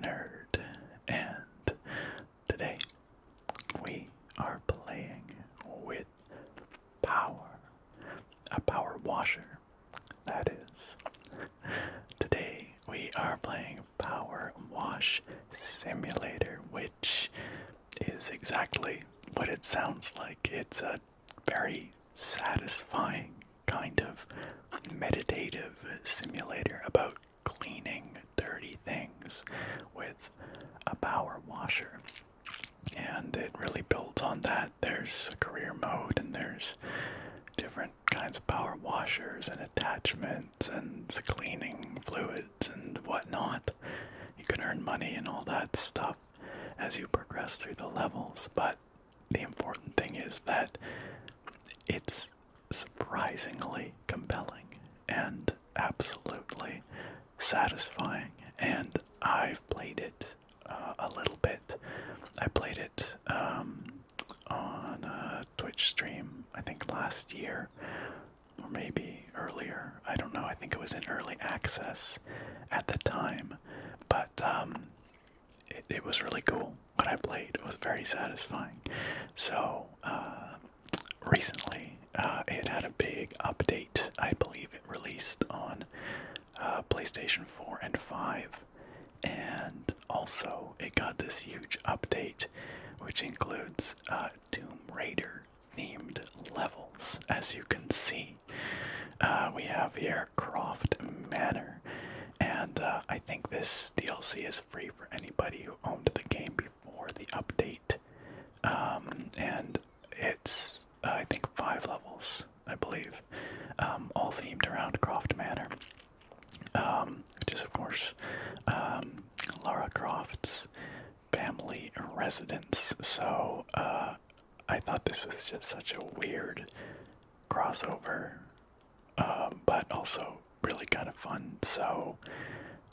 Nerd, and today we are playing with power, a power washer, that is. Today we are playing Power Wash Simulator, which is exactly what it sounds like. It's a very satisfying kind of meditative simulator about cleaning dirty things with a power washer. And it really builds on that. There's a career mode, and there's different kinds of power washers and attachments and the cleaning fluids and whatnot. You can earn money and all that stuff as you progress through the levels, but the important thing is that it's surprisingly compelling and absolutely satisfying. And I've played it uh, a little bit. I played it um, on a Twitch stream, I think last year, or maybe earlier. I don't know. I think it was in early access at the time. But um, it, was really cool. What I played was very satisfying. So uh, recently, uh, it had a big update. I believe it released on uh, PlayStation 4 and 5, and also it got this huge update, which includes uh, Tomb Raider themed levels. As you can see, we have here Croft Manor, and I think this DLC is free for anybody who owned the game before the update. Um, and it's, I think, five levels, I believe, um, all themed around Croft Manor, um, which is, of course, Laura Croft's family residence. So uh, I thought this was just such a weird crossover um, but also really kind of fun. So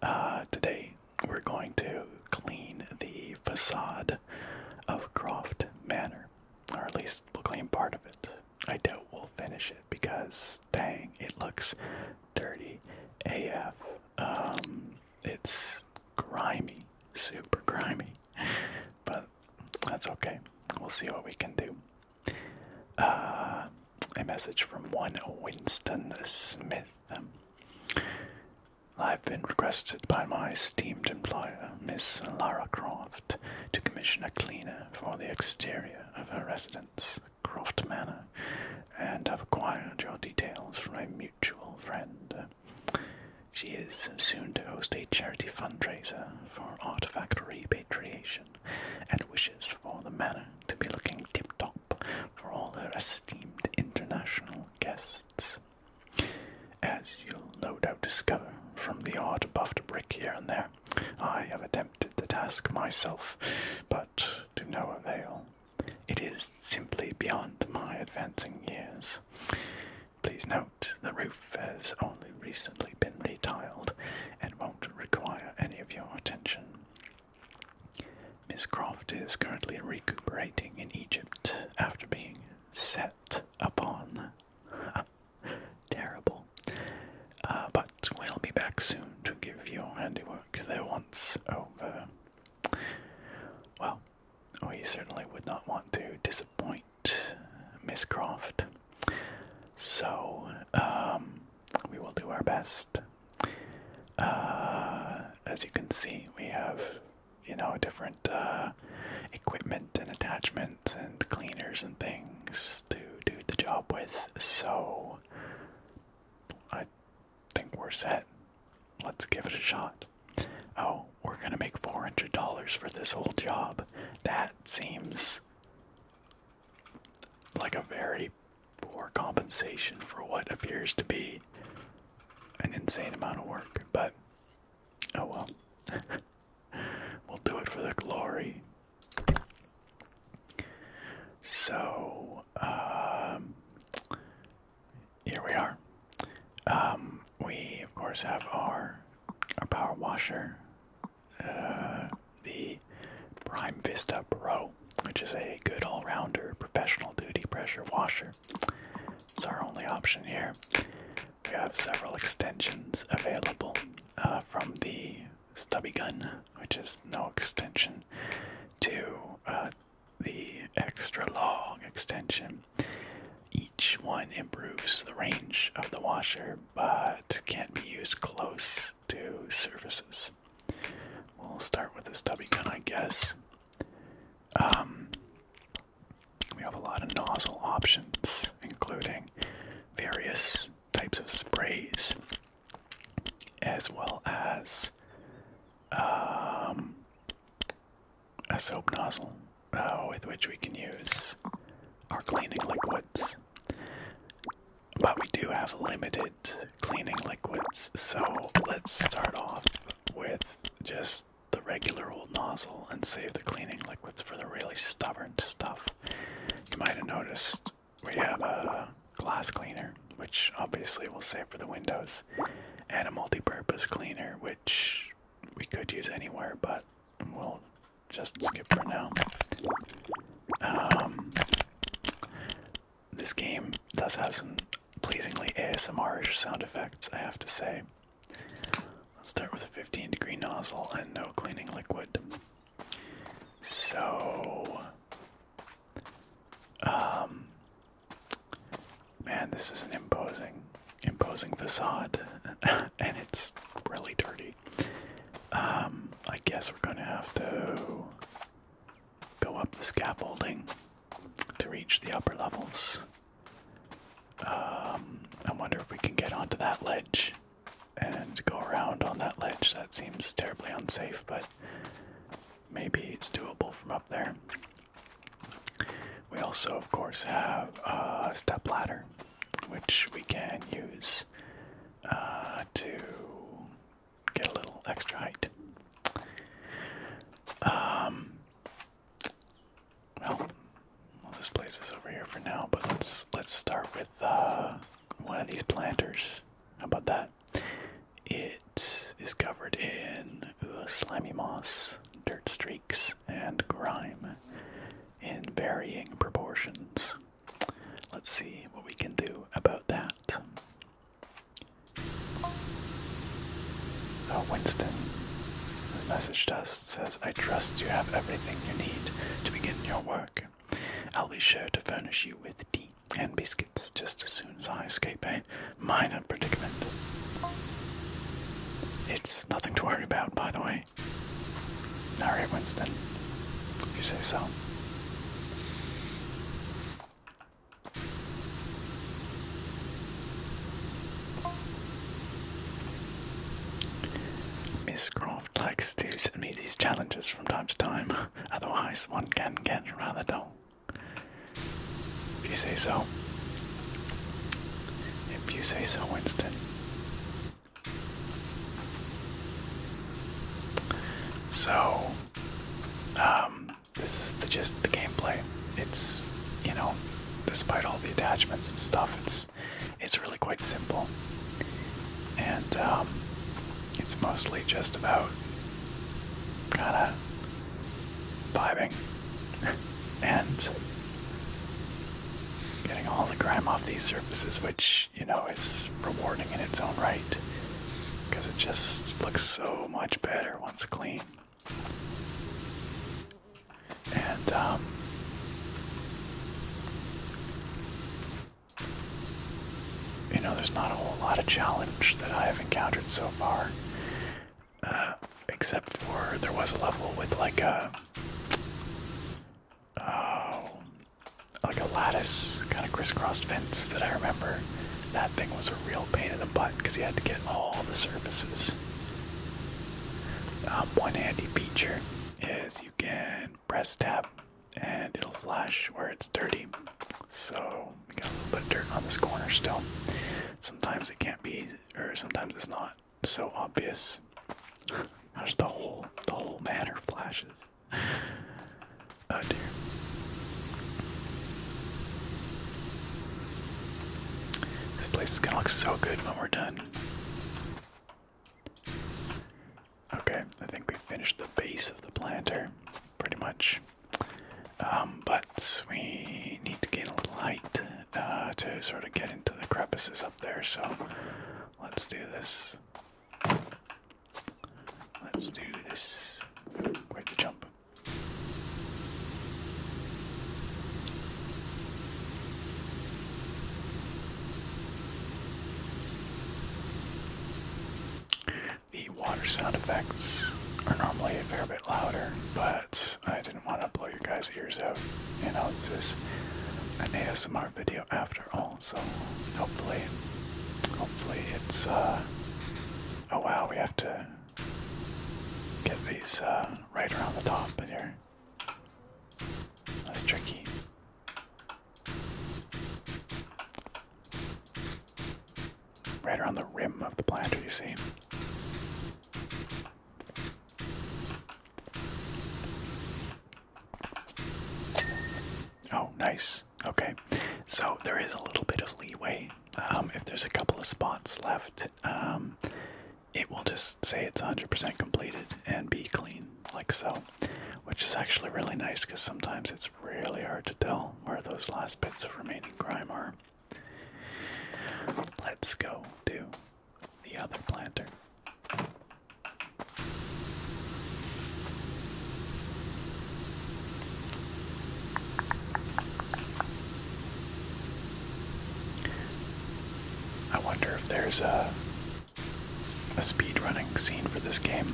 uh, today we're going to clean the facade of Croft Manor, or at least we'll clean part of it. I doubt we'll finish it because dang, it looks dirty AF. Um, it's grimy, super grimy, but that's okay. We'll see what we can do. Uh, a message from one Winston Smith. Um, I've been requested by my esteemed employer, Miss Lara Croft, to commission a cleaner for the exterior of her residence, Croft Manor, and have acquired your details from a mutual friend. She is soon to host a charity fundraiser for artifact repatriation and wishes for the manor to be looking tip top for all her esteemed international guests. As you'll no doubt discover from the odd buffed brick here and there, I have attempted the task myself, but to no avail. It is simply beyond my advancing years. Please note the roof is only recently been retiled and won't require any of your attention. Miss Croft is currently recuperating in Egypt after being set upon. Terrible. Uh, but we'll be back soon to give your handiwork the once over. Well, we certainly would not want to disappoint Miss Croft. So, um, we will do our best. Uh, as you can see, we have, you know, different uh, equipment and attachments and cleaners and things to do the job with. So, I think we're set. Let's give it a shot. Oh, we're gonna make $400 for this whole job. That seems like a very poor compensation for what appears to be an insane amount of work, but oh well. we'll do it for the glory. So, um, here we are. Um, we of course have our our power washer uh, the Prime Vista Pro, which is a good all-rounder professional duty pressure washer. It's our only option here. We have several extensions available uh, from the stubby gun, which is no extension, to uh, the extra long extension. Each one improves the range of the washer, but can't be used close service services. We'll start with this stubby gun, I guess. Um, we have a lot of nozzle options, including various types of sprays, as well as um, a soap nozzle uh, with which we can use our cleaning liquids. But we do have limited cleaning liquids, so let's start off with just the regular old nozzle and save the cleaning liquids for the really stubborn stuff. You might have noticed we have a glass cleaner, which obviously we'll save for the windows, and a multi purpose cleaner, which we could use anywhere, but we'll just skip for now. Um, this game does have some pleasingly ASMR-ish sound effects, I have to say. Let's start with a 15 degree nozzle and no cleaning liquid. So, um, man, this is an imposing, imposing facade, and it's really dirty. Um, I guess we're gonna have to go up the scaffolding to reach the upper levels. Um, I wonder if we can get onto that ledge and go around on that ledge. That seems terribly unsafe, but maybe it's doable from up there. We also, of course, have a step ladder, which we can use uh, to get a little extra height. Um, well, this place is over here for now, but let's let's start with uh, one of these planters. How about that? It is covered in uh, slimy moss, dirt streaks, and grime in varying proportions let's see what we can do about that. Oh, Winston Message to us, says, I trust you have everything you need to begin your work. I'll be sure to furnish you with tea and biscuits just as soon as I escape a minor predicament. It's nothing to worry about, by the way. All right, Winston. you say so. Miss Croft likes to send me these challenges from time to time, otherwise, one can get rather dull. If you say so. If you say so, Winston. So, um, this is just the gameplay. It's you know, despite all the attachments and stuff, it's it's really quite simple, and um, it's mostly just about kind of vibing and getting all the grime off these surfaces, which you know, it's rewarding in its own right because it just looks so much better once clean. And, um,. You know, there's not a whole lot of challenge that I have encountered so far, uh, except for there was a level with like a uh, Oh, like a lattice kind of crisscrossed fence that I remember. That thing was a real pain in the butt because you had to get all the surfaces. Um, one handy feature is you can press tap and it'll flash where it's dirty. So you got a little bit of dirt on this corner still. Sometimes it can't be, or sometimes it's not so obvious. Gosh, the whole the whole manor flashes. Oh dear. This place is gonna look so good when we're done. Okay, I think we finished the base of the planter, pretty much. Um, but we need to get a light uh, to sort of get into the crevices up there, so let's do this. Let's do this. Wait jump. The water sound effects are normally a fair bit louder, but I didn't want to blow your guys' ears out. You know, it's video after all, so hopefully, hopefully it's, uh, oh wow, we have to get these, uh, right around the top in here. That's tricky. Right around the rim of the planter, you see. Oh, nice. Okay, so there is a little bit of leeway. Um, if there's a couple of spots left, um, it will just say it's 100% completed and be clean, like so, which is actually really nice because sometimes it's really hard to tell where those last bits of remaining grime are. Let's go to the other planter. I wonder if there's a a speed running scene for this game.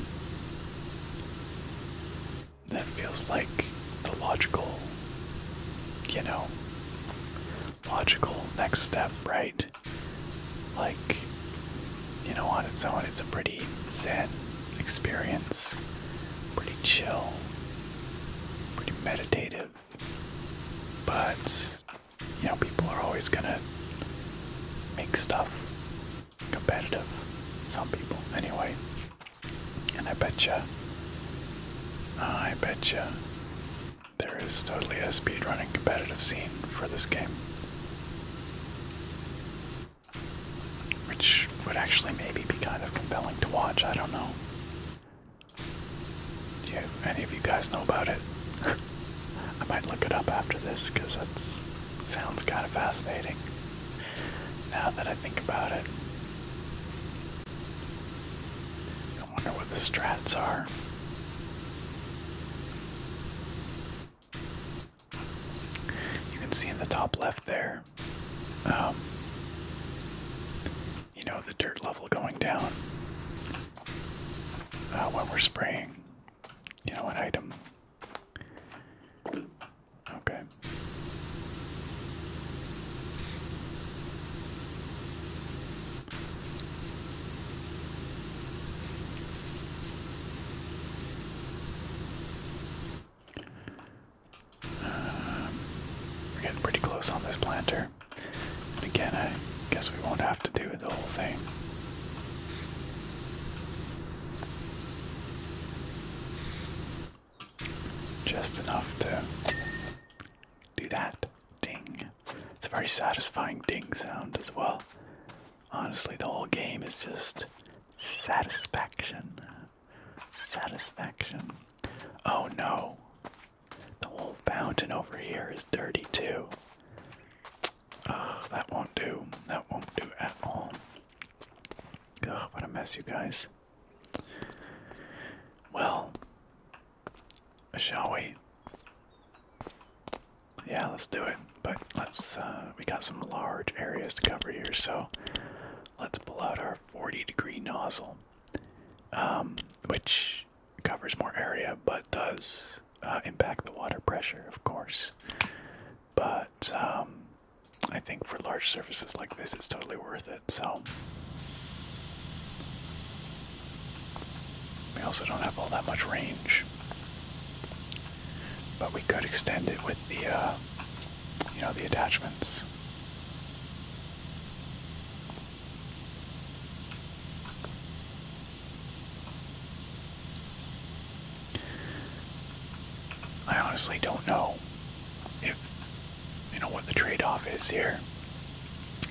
That feels like the logical, you know, logical next step, right? Like you know, on its own, it's a pretty zen experience. Pretty chill. Pretty meditative. But, you know, people are always gonna make stuff competitive. Some people, anyway. And I betcha, uh, I betcha, there is totally a speedrunning competitive scene for this game. Which would actually maybe be kind of compelling to watch, I don't know. Do any of you guys know about it? I might look it up after this because it sounds kind of fascinating now that I think about it. I wonder what the strats are. You can see in the top left there, um, you know, the dirt level going down uh, we're spraying, you know, an item. Okay we're getting pretty close on this planter. again, I guess we won't have to do the whole thing. Just enough to do that ding. It's a very satisfying ding sound as well. Honestly, the whole game is just satisfaction. Satisfaction. Oh no. The whole fountain over here is dirty too. Ugh, that won't do. That won't do at all. Oh, what a mess, you guys. Well, shall we? Yeah, let's do it. But let's, uh, we got some large areas to cover here, so let's pull out our 40 degree nozzle, um, which covers more area but does uh, impact the water pressure, of course. But um, I think for large surfaces like this, it's totally worth it. So we also don't have all that much range but we could extend it with the, uh, you know, the attachments. I honestly don't know if, you know, what the trade-off is here.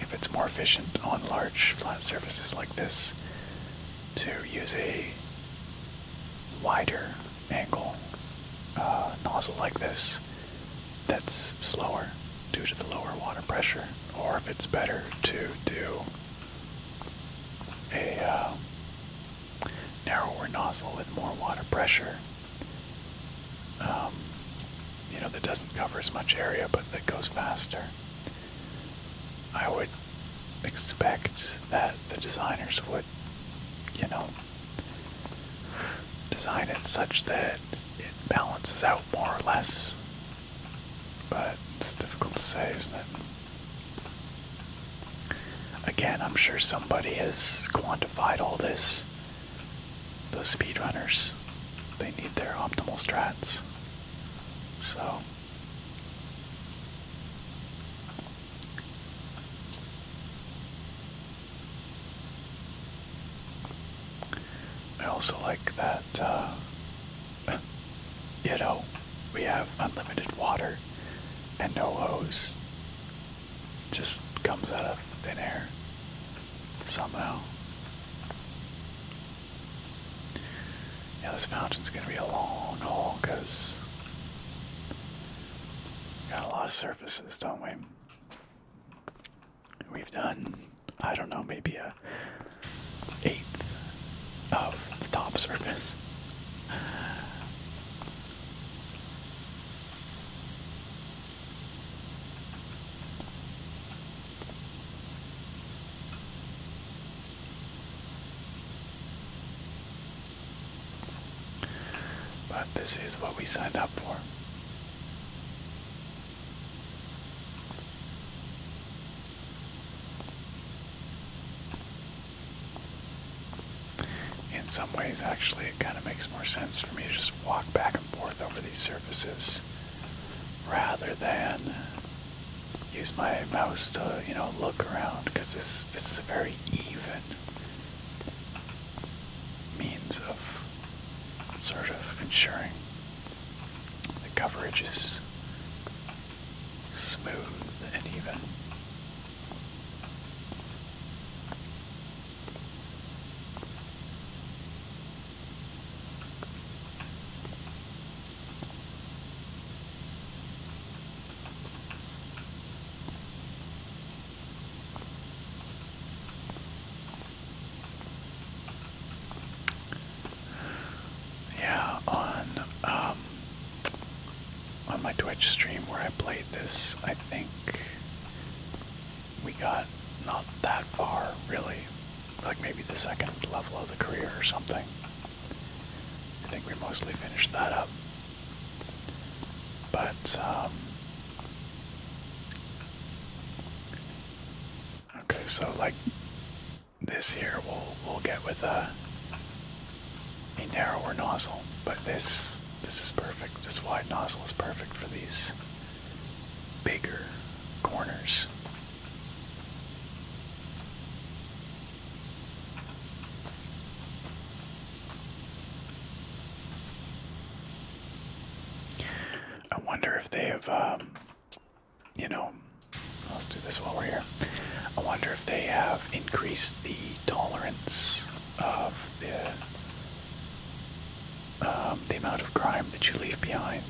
If it's more efficient on large flat surfaces like this to use a wider angle uh, nozzle like this that's slower due to the lower water pressure, or if it's better to do a uh, narrower nozzle with more water pressure. Um, you know, that doesn't cover as much area but that goes faster. I would expect that the designers would, you know, design it such that it balances out more or less. But it's difficult to say, isn't it? Again, I'm sure somebody has quantified all this. The speedrunners, they need their optimal strats. So, I also like that, uh, you know, we have unlimited water and no hose. just comes out of thin air somehow. Yeah, this fountain's gonna be a long haul because got a lot of surfaces, don't we? We've done, I don't know, maybe a eighth of the top surface. But this is what we signed up for. In some ways, actually, it kind of makes more sense for me to just walk back and forth over these surfaces rather than use my mouse to, you know, look around because this this is a very even means of sort of ensuring the coverage is smooth and even. Yeah, on um, on my Twitch stream where I played this, I think we got not that far, really. Like maybe the second level of the career or something. I think we mostly finished that up. But, um, okay, so like this here, we'll we'll get with a narrower nozzle, but this this is perfect. This wide nozzle is perfect for these bigger corners. I wonder if they have, um, you know, let's do this while we're here. I wonder if they have increased the tolerance of the, um, the amount of grime that you leave behind.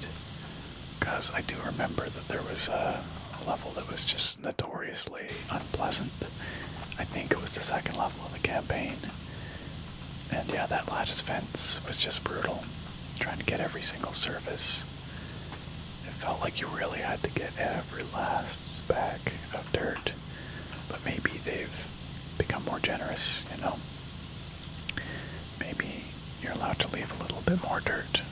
Because I do remember that there was a level that was just notoriously unpleasant. I think it was the second level of the campaign. And yeah, that lattice fence was just brutal. Trying to get every single surface. It felt like you really had to get every last speck of dirt. But maybe they've become more generous, you know? Maybe you're allowed to leave a little bit more dirt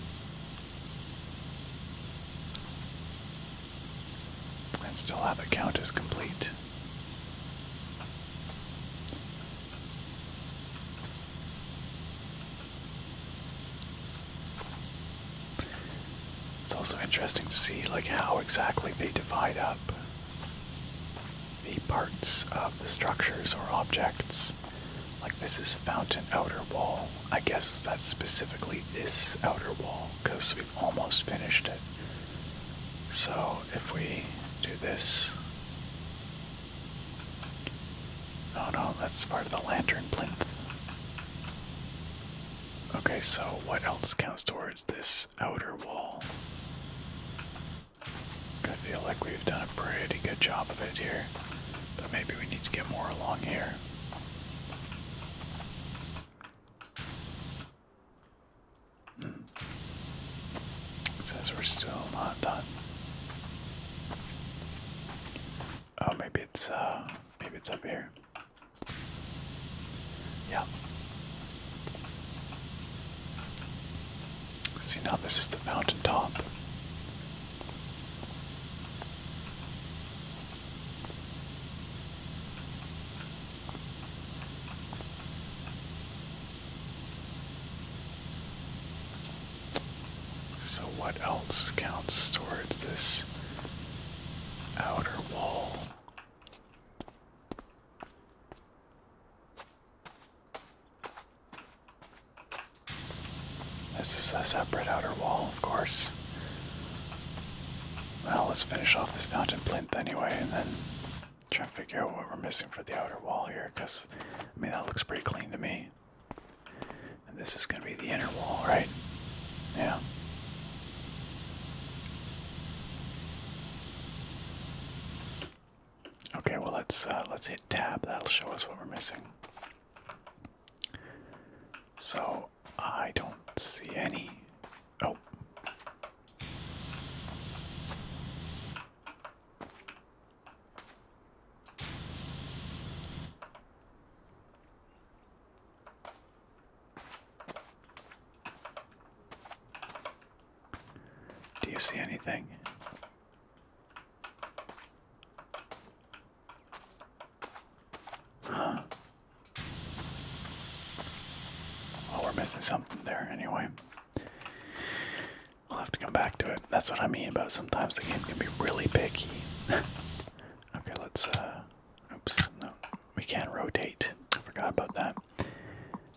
and still have the count as complete. It's also interesting to see like how exactly they divide up the parts of the structures or objects. Like this is fountain outer wall. I guess that's specifically this outer wall because we've almost finished it. So if we do this. Oh no, that's part of the lantern plinth. Okay, so what else counts towards this outer wall? I feel like we've done a pretty good job of it here, but maybe we need to get more along here. It says we're still not done. Oh, maybe it's uh, maybe it's up here. Yeah. See now, this is the mountaintop. So, what else counts towards this outer wall? This is a separate outer wall, of course. Well, let's finish off this fountain plinth anyway, and then try and figure out what we're missing for the outer wall here, because, I mean, that looks pretty clean to me. And this is going to be the inner wall, right? Yeah. Okay, well let's uh, let's hit tab. That'll show us what we're missing. So I don't see any. Oh. Do you see anything? Oh, we're missing something there anyway. I'll have to come back to it. That's what I mean about sometimes the game can be really picky. okay, let's, uh, oops, no, we can not rotate. I forgot about that.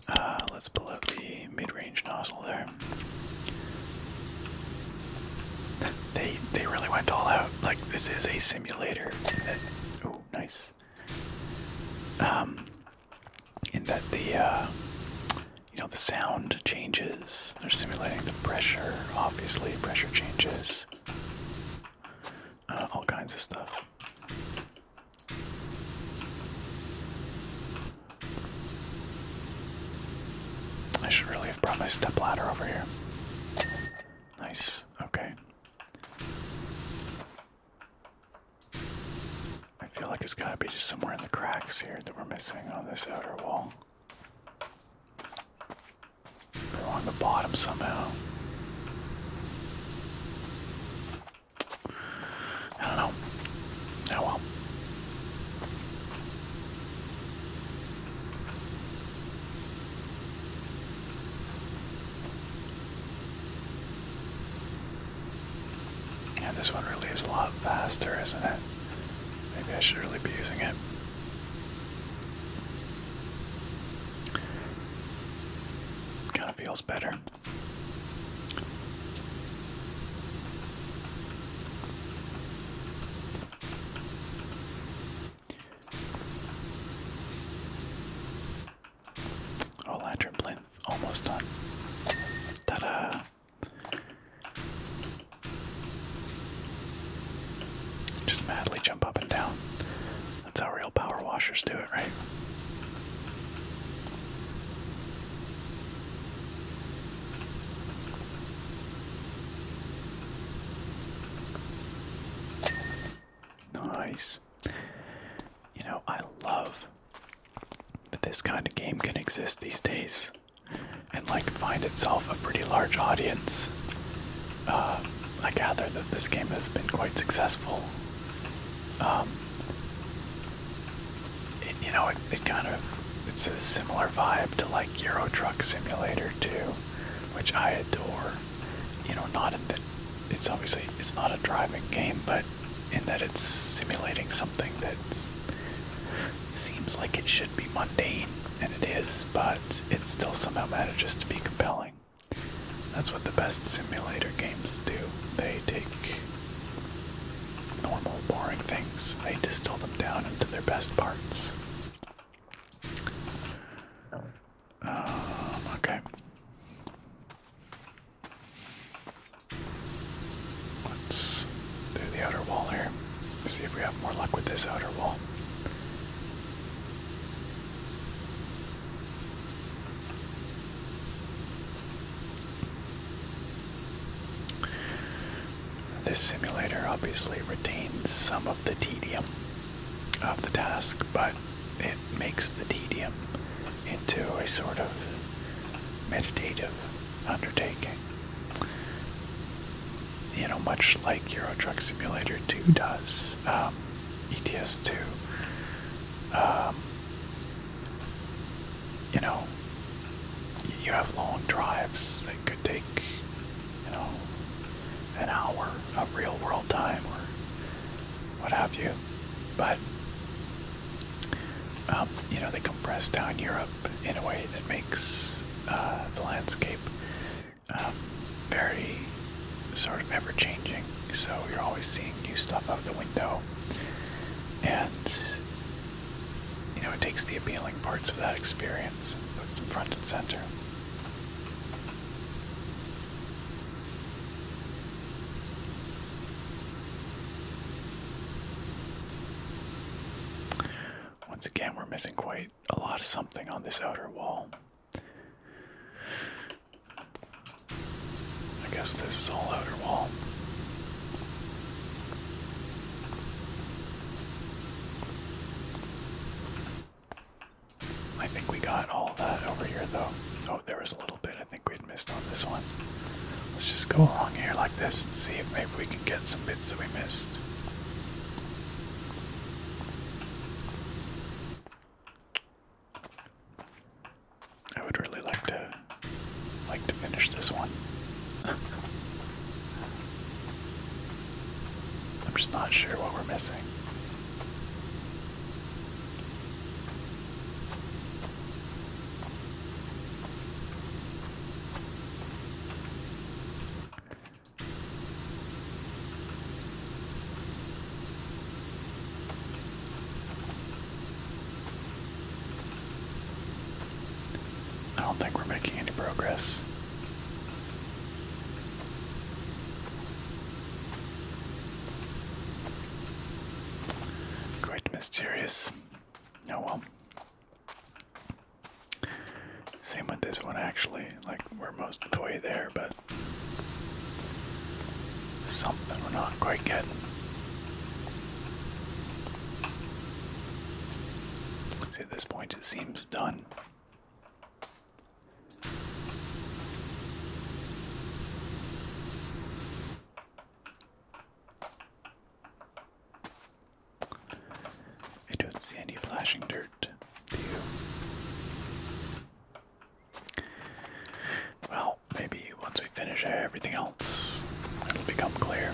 Uh, let's pull out the mid range nozzle there. They they really went all out. Like this is a simulator. Oh, nice. Um, in that the uh, you know the sound changes. They're simulating the pressure. Obviously, pressure changes. Uh, all kinds of stuff. I should really have brought my step ladder over here. Nice. Okay. I feel like it's got to be just somewhere in the cracks here that we're missing on this outer wall. we on the bottom somehow. I don't know. Oh well. Yeah, this one really is a lot faster, isn't it? Maybe I should really be using it. Kind of feels better. Oh, lantern plant almost done. ta Just madly jump up and down. That's how real power washers do it, right? Nice. You know, I love that this kind of game can exist these days and like find itself a pretty large audience. Uh, I gather that this game has been quite successful. Um, you know, it kind of it's a similar vibe to like Euro Truck Simulator 2, which I adore you know, not that it's obviously it's not a driving game, but in that it's simulating something that seems like it should be mundane, and it is, but it still somehow manages to be compelling. That's what the best simulator games do. They take normal, boring things, they distill them down into their best parts. Um, okay. Let's do the outer wall here. See if we have more luck with this outer wall. This simulator obviously retains some of the tedium of the task, but it makes the tedium into a sort of meditative undertaking. You know, much like Euro Truck Simulator 2 does, um, ETS2. Um, you know, you have long drives that take, you know, an hour of real world time or what have you. But, um, you know, they compress down Europe in a way that makes uh, the landscape um, very sort of ever changing. So you're always seeing new stuff out the window. And, you know, it takes the appealing parts of that experience front and center. Once again, we're missing quite a lot of something on this outer wall. I guess this is all outer wall. I think we got all that over here though. Oh, there was a little bit I think we'd missed on this one. Let's just go along here like this and see if maybe we can get some bits that we missed. I would really like to like to finish this one. I'm just not sure what we're missing. I don't think we're making any progress. Quite mysterious. Oh well. Same with this one actually. Like we're most of the way there, but something we're not quite getting. See, at this point it seems done. I don't see any flashing dirt. Well, maybe once we finish everything else, it'll become clear.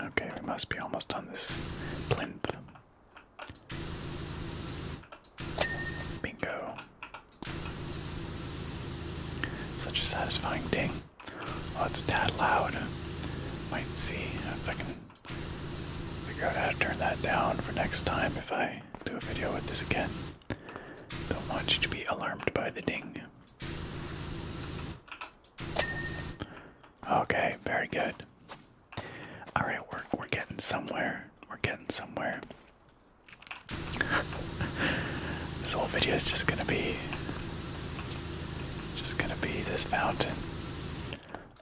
Okay, we must be almost on this plinth. Bingo. Such a satisfying ding. Oh, it's that tad loud. Might see if I can Figure out how to turn that down for next time if I do a video with this again. Don't want you to be alarmed by the ding. Okay, very good. Alright, we're we're getting somewhere. We're getting somewhere. this whole video is just gonna be just gonna be this fountain.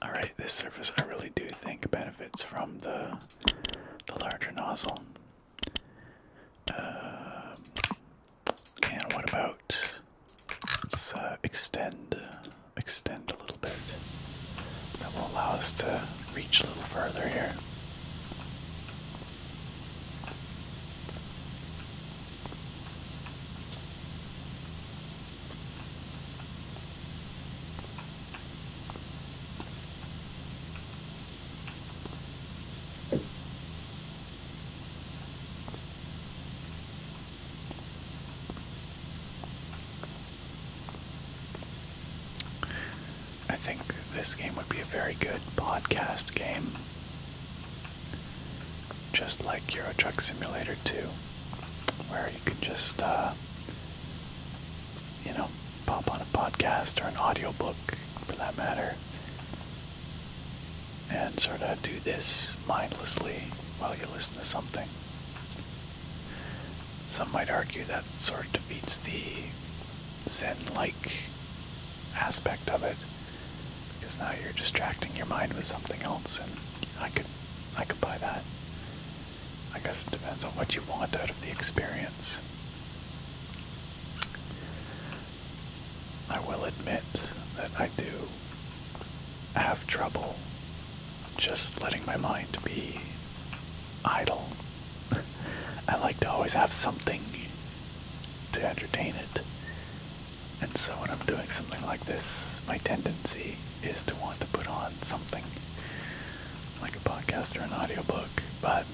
Alright, this surface I really do think benefits from the the larger nozzle. Um, and what about let's uh, extend extend a little bit. That will allow us to reach a little further here. I think this game would be a very good podcast game. Just like Euro Truck Simulator 2, where you can just uh, you know, pop on a podcast or an audiobook for that matter and sort of do this mindlessly while you listen to something. Some might argue that sort of defeats the Zen like aspect of it because now you're distracting your mind with something else and I could I could buy that. I guess it depends on what you want out of the experience. I will admit that I do have trouble just letting my mind be idle. I like to always have something to entertain it. And so when I'm doing something like this, my tendency is to want to put on something like a podcast or an audiobook, but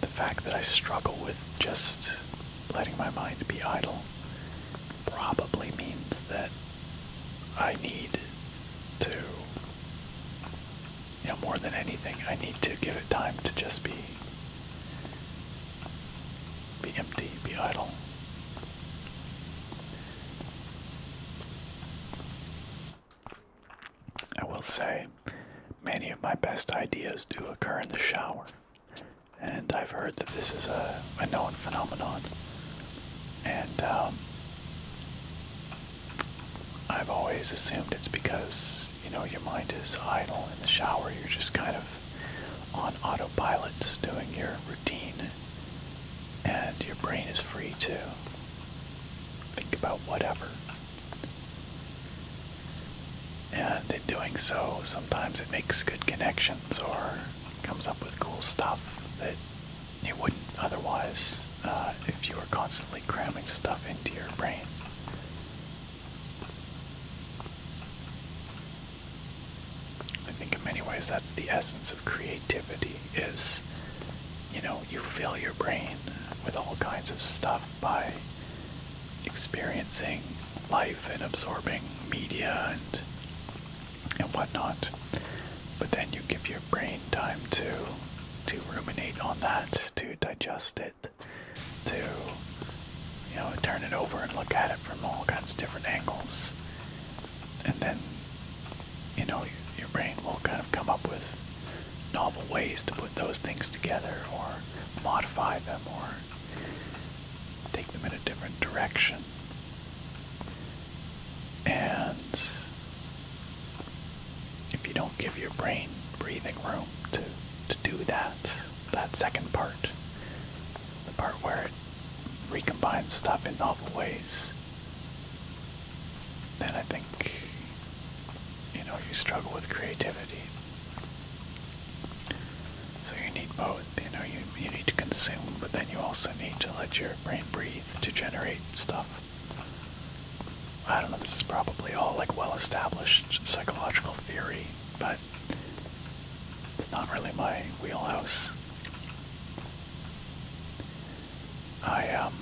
the fact that I struggle with just letting my mind be idle probably means that I need to, you know, more than anything, I need to give it time to just be be empty, be idle. I will say, many of my best ideas do occur in the shower, and I've heard that this is a, known phenomenon. And um, I've always assumed it's because, you know, your mind is idle in the shower, you're just kind of on autopilot doing your and your brain is free to think about whatever. And in doing so, sometimes it makes good connections or comes up with cool stuff that you wouldn't otherwise uh, if you were constantly cramming stuff into your brain. I think in many ways that's the essence of creativity is you know you fill your brain with all kinds of stuff by experiencing life and absorbing media and and whatnot. But then you give your brain time to to ruminate on that, to digest it, to you know, turn it over and look at it from all kinds of different angles. And then you know, your, brain will kind of come up with novel ways to put those things together or modify them or take them in a different direction. And if you don't give your brain breathing room to, to do that, that second part, the part where it recombine stuff in novel ways, then I think, you know, you struggle with creativity. So you need both, you know, you, you need to consume, but then you also need to let your brain breathe to generate stuff. I don't know, this is probably all like well-established psychological theory, but it's not really my wheelhouse. I um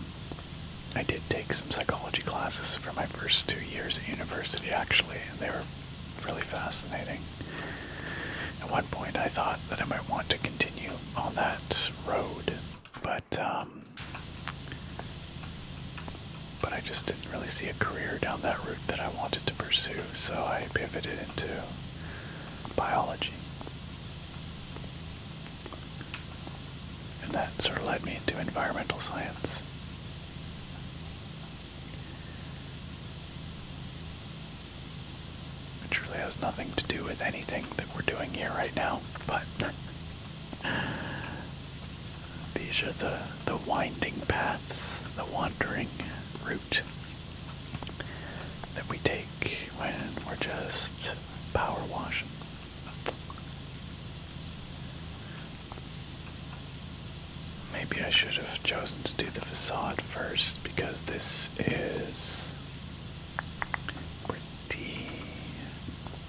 I did take some psychology classes for my first two years at university actually, and they were really fascinating. At one point I thought that I might want to continue on that road, but um, but I just didn't really see a career down that route that I wanted to pursue, so I pivoted into biology. And that sort of led me into environmental science. Which really has nothing to do with anything that we're doing here right now, but these are the the winding paths, the wandering route that we take when we're just power washing. Maybe I should have chosen to do the facade first because this is pretty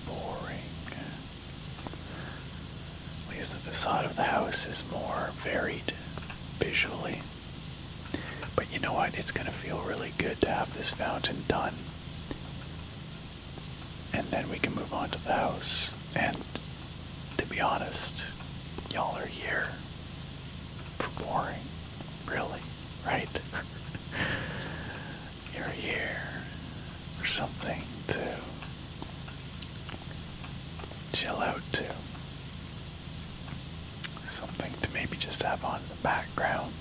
boring. At least the facade of the house is more varied visually. But you know what? It's going to feel really good to have this fountain done. And then we can move on to the house. And to be honest, y'all are here for boring. Really, right? You're here for something to chill out to something to maybe just have on the background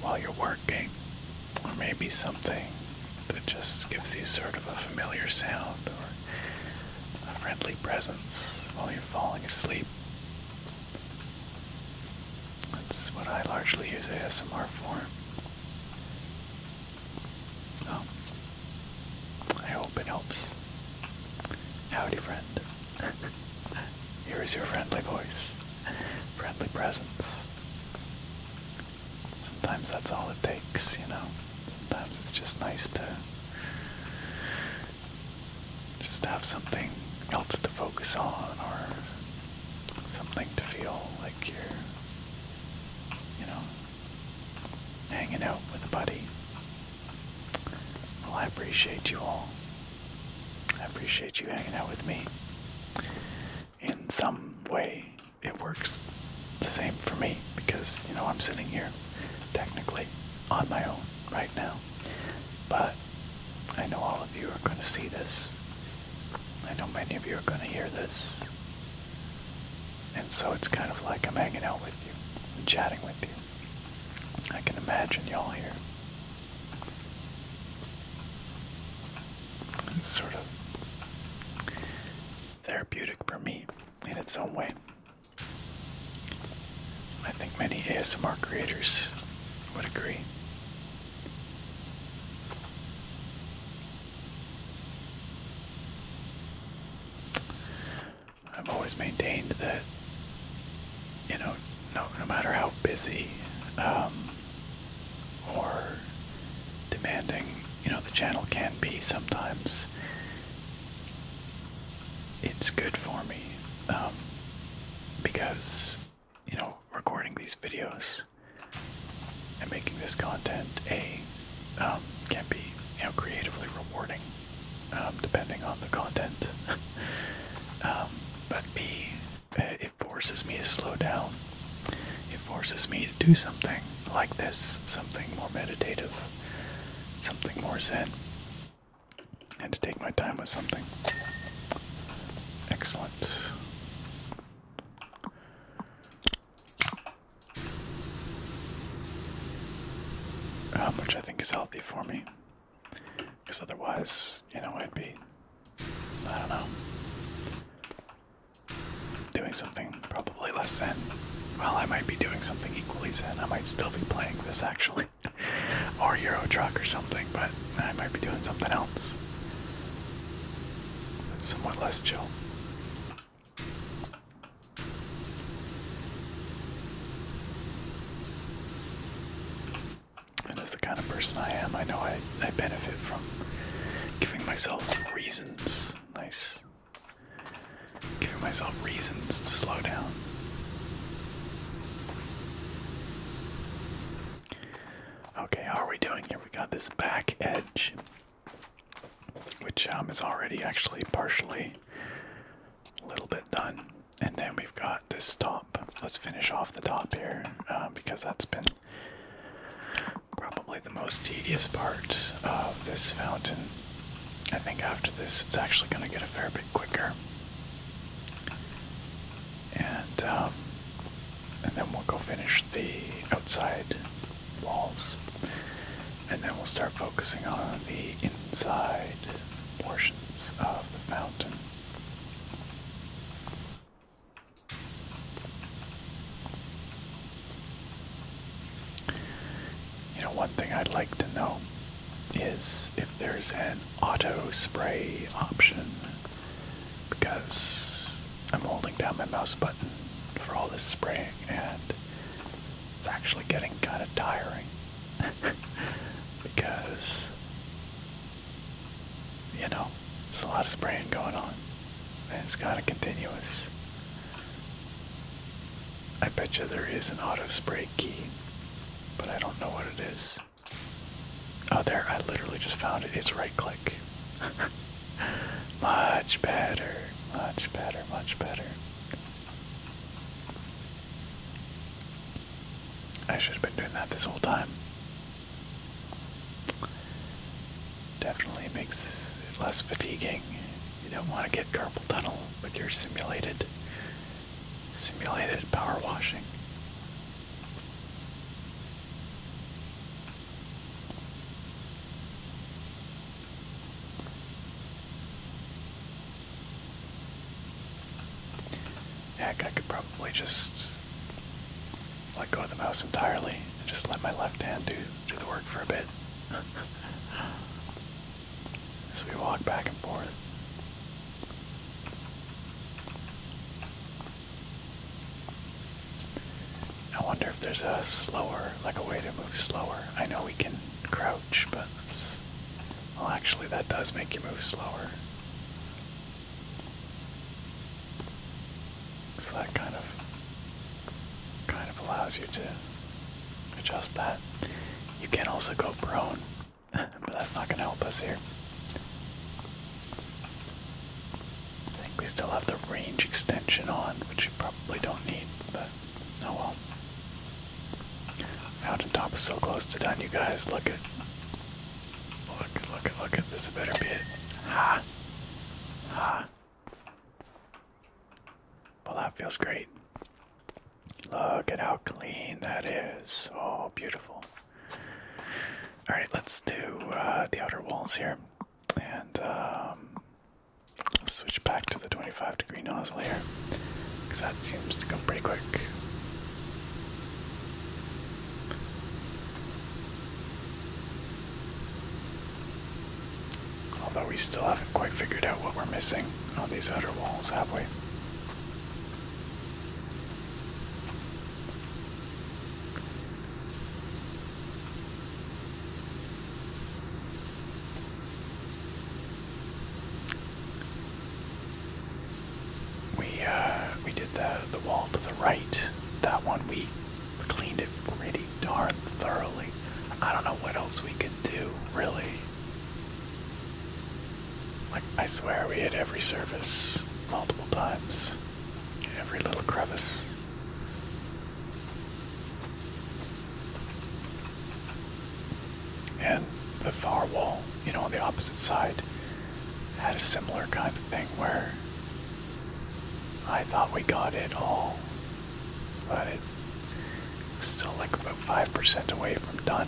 while you're working, or maybe something that just gives you sort of a familiar sound or a friendly presence while you're falling asleep. That's what I largely use ASMR for. Oh, I hope it helps. Howdy, friend. Here is your friendly voice, friendly presence. Sometimes that's all it takes, you know. Sometimes it's just nice to just have something else to focus on or something to feel like you're, you know, hanging out with a buddy. Well, I appreciate you all. I appreciate you hanging out with me. In some way, it works the same for me because, you know, I'm sitting here technically on my own right now. But I know all of you are going to see this. I know many of you are going to hear this. And so it's kind of like I'm hanging out with you and chatting with you. I can imagine y'all here. It's sort of therapeutic for me in its own way. I think many ASMR creators would agree. I've always maintained that, you know, no, no matter how busy um, or demanding, you know, the channel can be sometimes, it's good for me um, because, you know, recording these videos and making this content a um, can be you know creatively rewarding um, depending on the content. Um, but uh, it forces me to slow down. It forces me to do something like this, something more meditative, something more zen, and to take my time with something. Excellent. Um, which I think is healthy for me. Because otherwise, you know, I'd be, I don't know, doing something probably less zen. Well, I might be doing something equally zen. I might still be playing this actually, or Euro Truck or something, but I might be doing something else that's somewhat less chill. And as the kind of person I am, I know I, I benefit from giving myself reasons. Nice. Giving myself reasons to slow down. Okay, how are we doing here? We got this back edge, which um, is already actually partially a little bit done and then we've got this top. Let's finish off the top here uh, because that's been probably the most tedious part of this fountain. I think after this, it's actually going to get a fair bit quicker. And, um, and then we'll go finish the outside walls. And then we'll start focusing on the inside portions of the fountain. You know, one thing I'd like to know is if there's an auto spray option because I'm holding down my mouse button for all this spraying and it's actually getting kind of tiring. because you know there's a lot of spraying going on, and it's kind of continuous. I bet you there is an auto spray key, but I don't know what it is. Oh, there! I literally just found it. It's right click. much better, much better, much better. I should have been doing that this whole time. Definitely makes it less fatiguing. You don't want to get carpal tunnel with your simulated simulated power washing. Heck, I could probably just let go of the mouse entirely and just let my left hand do, do the work for a bit. As we walk back and forth. I wonder if there's a slower, like a way to move slower. I know we can crouch but Well, actually, that does make you move slower. So that kind of kind of allows you to adjust that. You can also go prone, but that's not going to help us here. I think we still have the range extension on, which you probably don't need, but oh well. Mountaintop is so close to done, you guys. Look at, look, look at, look at. This better be it. Ha, ha. Well, that feels great. Look at how clean that is. Oh, beautiful. All right, let's do uh, the outer walls here, and um, switch back to the 25 degree nozzle here, because that seems to go pretty quick. Although we still haven't quite figured out what we're missing on these outer walls, have we? We uh, we did the the wall to the right. That one we cleaned it pretty darn thoroughly. I don't know what else we could do, really. Like I swear, we hit every surface multiple times, every little crevice. And the far wall, you know, on the opposite side, had a similar kind of thing where I thought we got it all, but it's still like about 5% away from done.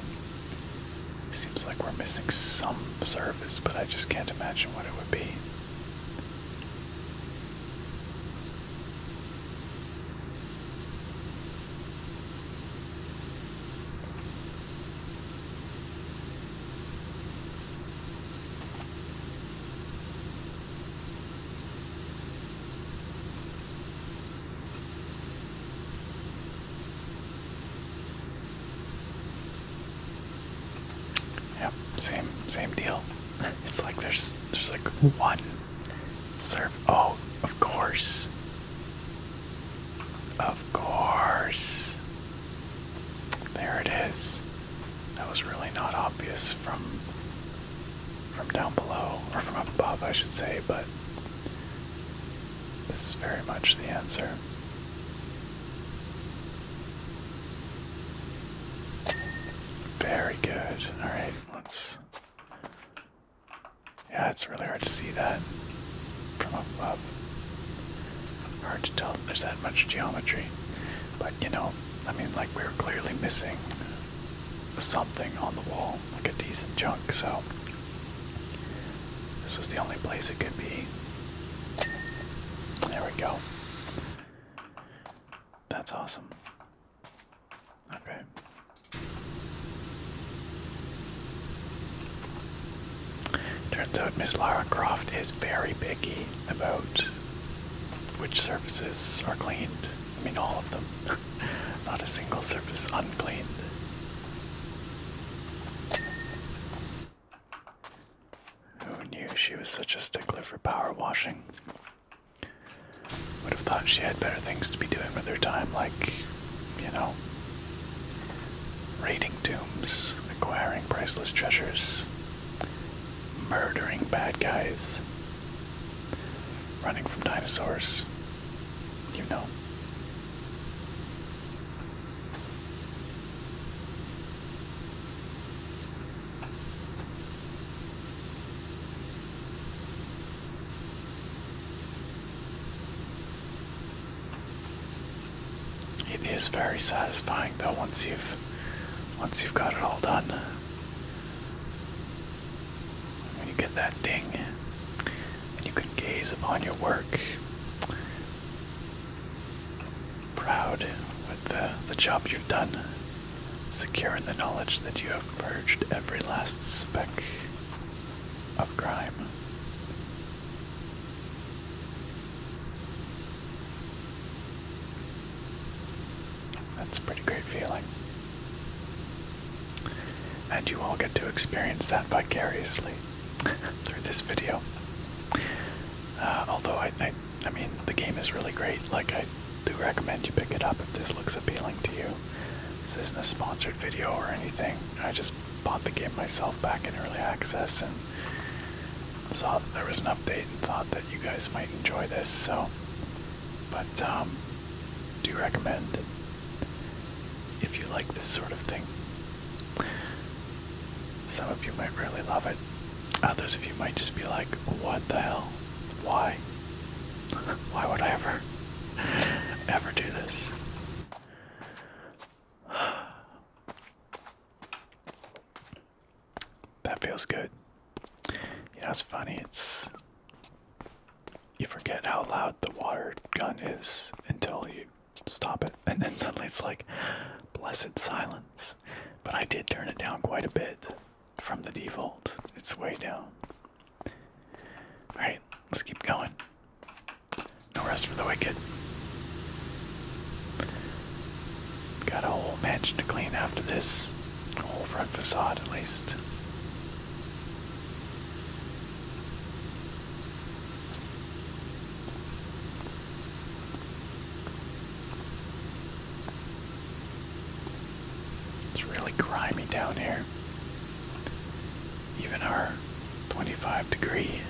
Seems like we're missing some service, but I just can't imagine what it would be. Yep, same same deal. It's like there's there's like one serve. Oh, of course. Of course. There it is. That was really not obvious from from down below, or from up above I should say, but this is very much the answer. Very good. Alright, let's yeah, it's really hard to see that from above. Hard to tell if there's that much geometry. But you know, I mean, like we are clearly missing something on the wall, like a decent chunk, so this was the only place it could be. There we go. That's awesome. Okay. Turns out Miss Lara Croft is very picky about which surfaces are cleaned. I mean, all of them. Not a single surface uncleaned. Who knew she was such a stickler for power washing? Would have thought she had better things to be doing with her time, like you know, raiding tombs, acquiring priceless treasures, murdering bad guys, running from dinosaurs, you know. It is very satisfying though once you've once you've got it all done. When you get that ding and you can gaze upon your work. Proud with the, the job you've done, secure in the knowledge that you have purged every last speck of grime. That's a pretty great feeling. And you all get to experience that vicariously through this video. Uh, although, I, I, I mean, the game is really great. Like, I do recommend you pick it up if this looks appealing to you. This isn't a sponsored video or anything. I just bought the game myself back in early access and saw that there was an update and thought that you guys might enjoy this. So, but um, do recommend if you like this sort of thing. Some of you might really love it. Others of you might just be like, "What the hell? Why? Why would I ever, ever do this?" that feels good. You know, it's funny. It's you forget how loud the water gun is until you stop it, and then suddenly it's like blessed silence. But I did turn it down quite a bit from the default. It's way down. All right, let's keep going. No rest for the wicked. Got a whole mansion to clean after this. A whole front facade, at least. It's really grimy down here even our 25 degree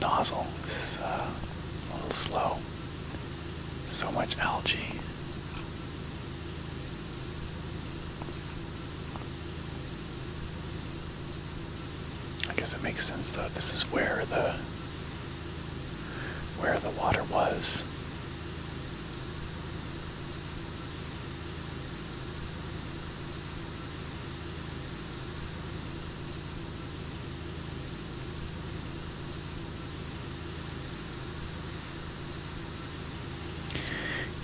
nozzle is uh, a little slow. So much algae. I guess it makes sense though. This is where the where the water was.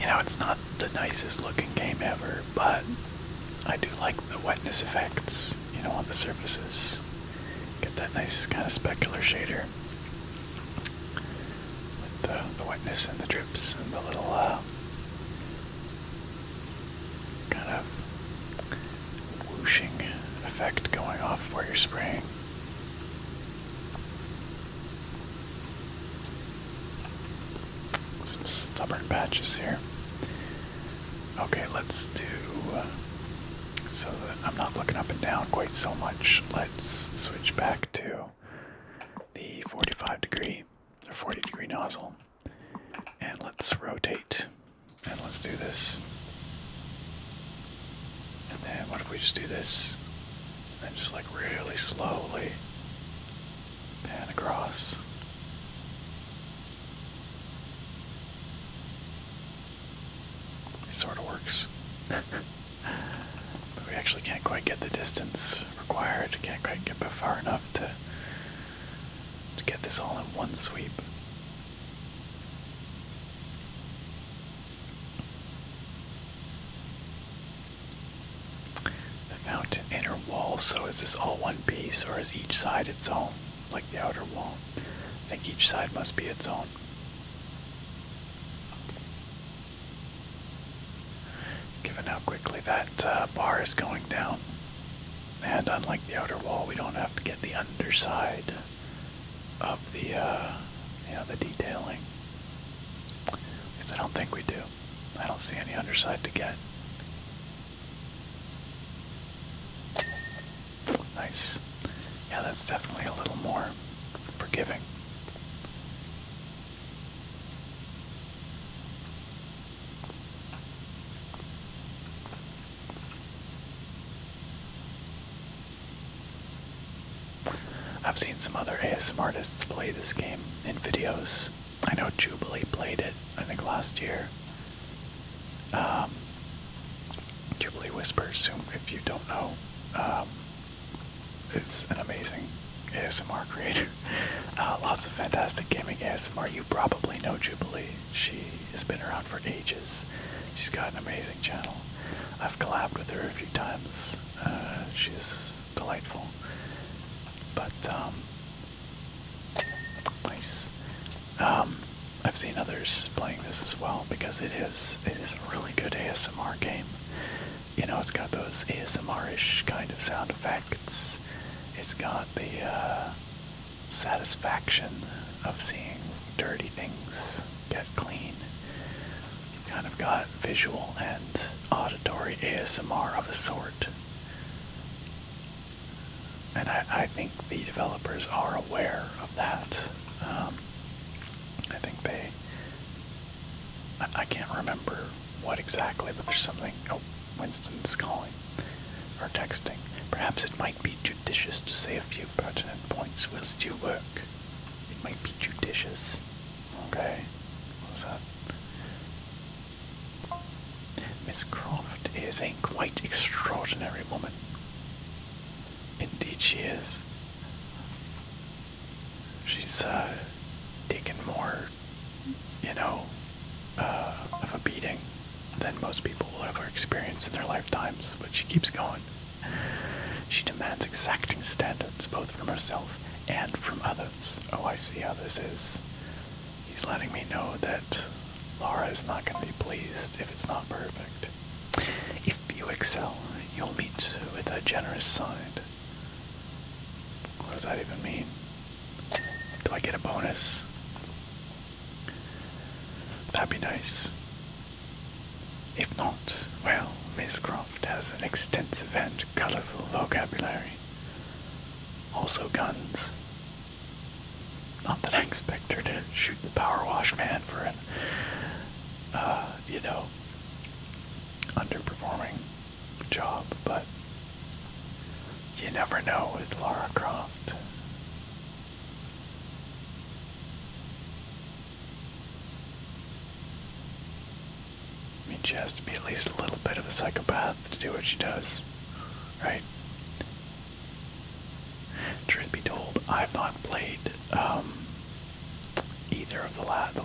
You know, it's not the nicest looking game ever, but I do like the wetness effects, you know, on the surfaces. Get that nice kind of specular shader with the, wetness and the drip and the little uh, kind of whooshing effect going off where you're spraying. Some stubborn patches here. Okay, let's do. Uh, so that I'm not looking up and down quite so much, let's switch back to the 45 degree a 40 degree nozzle. And let's rotate. And let's do this. And then what if we just do this? And just like really slowly pan across. It sort of works. but we actually can't quite get the distance required, can't quite get far enough to to get this all in one sweep. The inner wall, so is this all one piece or is each side its own, like the outer wall? I think each side must be its own. Given how quickly that uh, bar is going down. And unlike the outer wall, we don't have to get the underside of the, uh, you know, the detailing. At I don't think we do. I don't see any underside to get. Nice. Yeah, that's definitely a little more forgiving. I've seen some other ASMR artists play this game in videos. I know Jubilee played it, I think last year. Um, Jubilee Whispers, whom, if you don't know, um, is an amazing ASMR creator. Uh, lots of fantastic gaming ASMR. You probably know Jubilee. She has been around for ages. She's got an amazing channel. I've collabed with her a few times. Uh, she's delightful. But, um, nice. Um, I've seen others playing this as well because it is it is a really good ASMR game you know, it's got those ASMR-ish kind of sound effects. It's got the uh, satisfaction of seeing dirty things get clean. Kind of got visual and auditory ASMR of a sort. And I, think the developers are aware of that. Um, I think they. I, can't remember what exactly, but there's something. Oh, Winston's calling or texting. Perhaps it might be judicious to say a few pertinent points whilst you work. It might be judicious. Okay. What's Miss Croft is a quite extraordinary woman. Indeed she is. She's uh taken more you know, uh, of a beating than most people will ever experience in their lifetimes, but she keeps going. She demands exacting standards both from herself and from others. Oh, I see how this is. He's letting me know that Laura is not going to be pleased if it's not perfect. If you excel, you'll meet with a generous side. What does that even mean? Do I get a bonus? That'd be nice. If not, well, Miss Croft has an extensive and colorful vocabulary. Also guns. Not that I expect her to shoot the power wash man for an, uh, you know, underperforming job, but you never know with Lara Croft. I mean, she has to be at least a little bit of a psychopath to do what she does, right? Truth be told, I've not played um, either of the,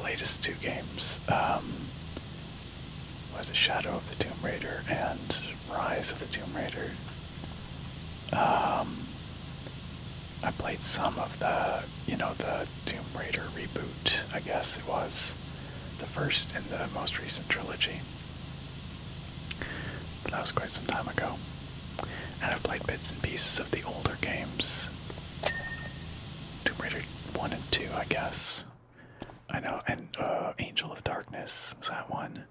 latest two games. Um, was a Shadow of the Tomb Raider and Rise of the Tomb Raider. Um, I played some of the, you know, the Tomb Raider reboot, I guess it was. The first in the most recent trilogy. But that was quite some time ago. And I've played bits and pieces of the older games. Tomb Raider 1 and 2, I guess. I know, and uh, Angel of Darkness was that one.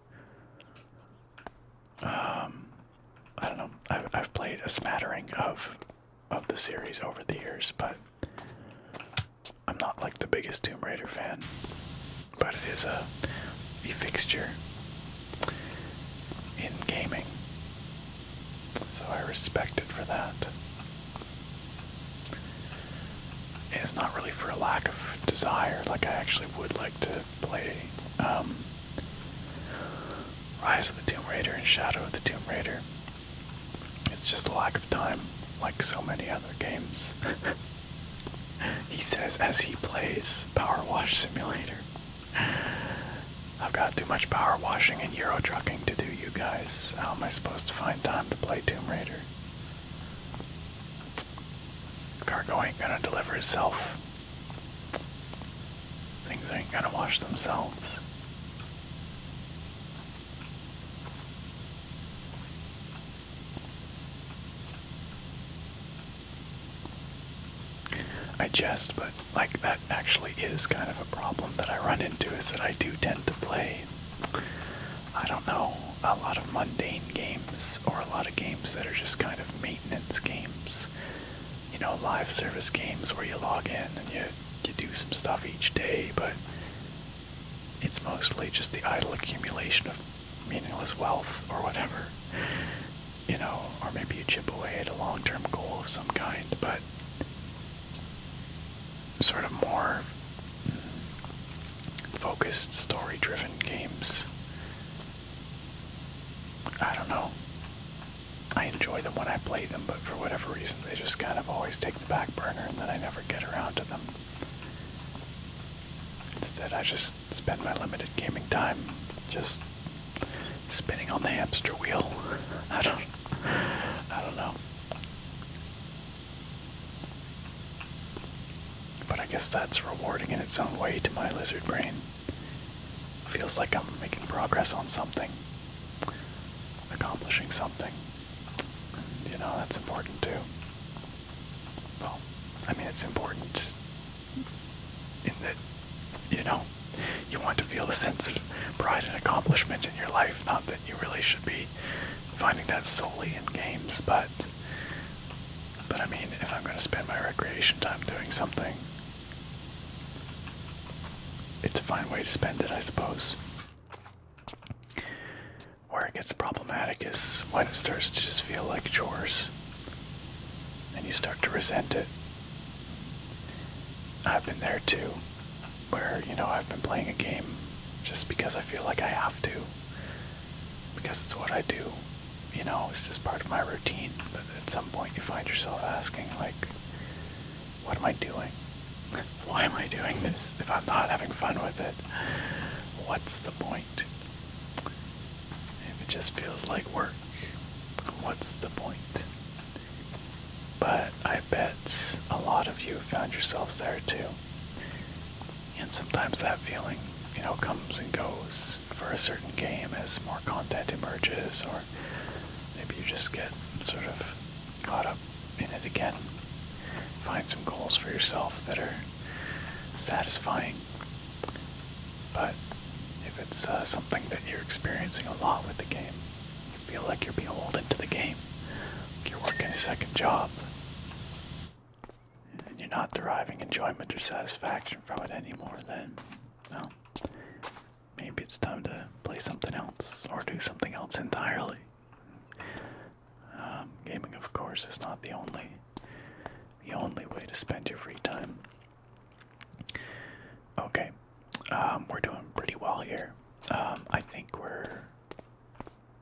Um, I don't know. I've played a smattering of of the series over the years, but I'm not like the biggest Tomb Raider fan. But it is a fixture in gaming, so I respect it for that. It's not really for a lack of desire. Like I actually would like to play um, Rise of the Tomb Raider and Shadow of the Tomb Raider. It's just a lack of time, like so many other games. he says as he plays Power Wash Simulator. I've got too much power washing and Euro trucking to do, you guys. How am I supposed to find time to play Tomb Raider? Cargo ain't gonna deliver itself. Things ain't gonna wash themselves. I jest, but like that actually is kind of a problem that I run into is that I do tend to play I don't know, a lot of mundane games or a lot of games that are just kind of maintenance games. You know, live service games where you log in and you you do some stuff each day, but it's mostly just the idle accumulation of meaningless wealth or whatever. You know, or maybe you chip away at a long term goal of some kind, but sort of more focused, story driven games. I don't know. I enjoy them when I play them, but for whatever reason, they just kind of always take the back burner and then I never get around to them. Instead, I just spend my limited gaming time just spinning on the hamster wheel. I don't. I don't know. But I guess that's rewarding in its own way to my lizard brain. Feels like I'm making progress on something, accomplishing something. you know, that's important too. Well, I mean, it's important in that, you know, you want to feel a sense of pride and accomplishment in your life, not that you really should be finding that solely in games, but but I mean, if I'm going to spend my recreation time doing something, it's a fine way to spend it, I suppose. Where it gets problematic is when it starts to just feel like chores and you start to resent it. I've been there too where, you know, I've been playing a game just because I feel like I have to. Because it's what I do. You know, it's just part of my routine. But at some point you find yourself asking, like, what am I doing? Why am I doing this if I'm not having fun with it? What's the point? If it just feels like work, what's the point? But I I a lot of you found yourselves there too. And sometimes that feeling, you know, comes and goes for a certain game as more content emerges, or maybe you just get sort of caught up in it again. Find some goals for yourself that are satisfying. But if it's uh, something that you're experiencing a lot with the game, you feel like you're beholden to the game, you're working a second job. And you're not deriving enjoyment or satisfaction from it anymore, then, well, maybe it's time to play something else or do something else entirely. Um, gaming, of course, is not the only, the only way to spend your free time. Okay, um, we're doing pretty well here. Um, I think we're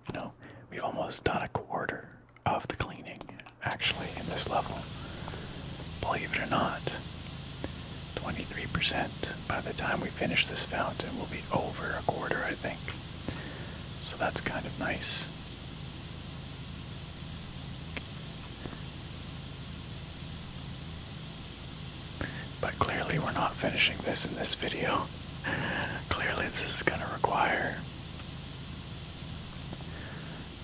you know, we've almost done a quarter of the cleaning actually in this level. Believe it or not, 23% by the time we finish this fountain we will be over a quarter, I think. So that's kind of nice. But clearly, we're not finishing this in this video. Clearly, this is going to require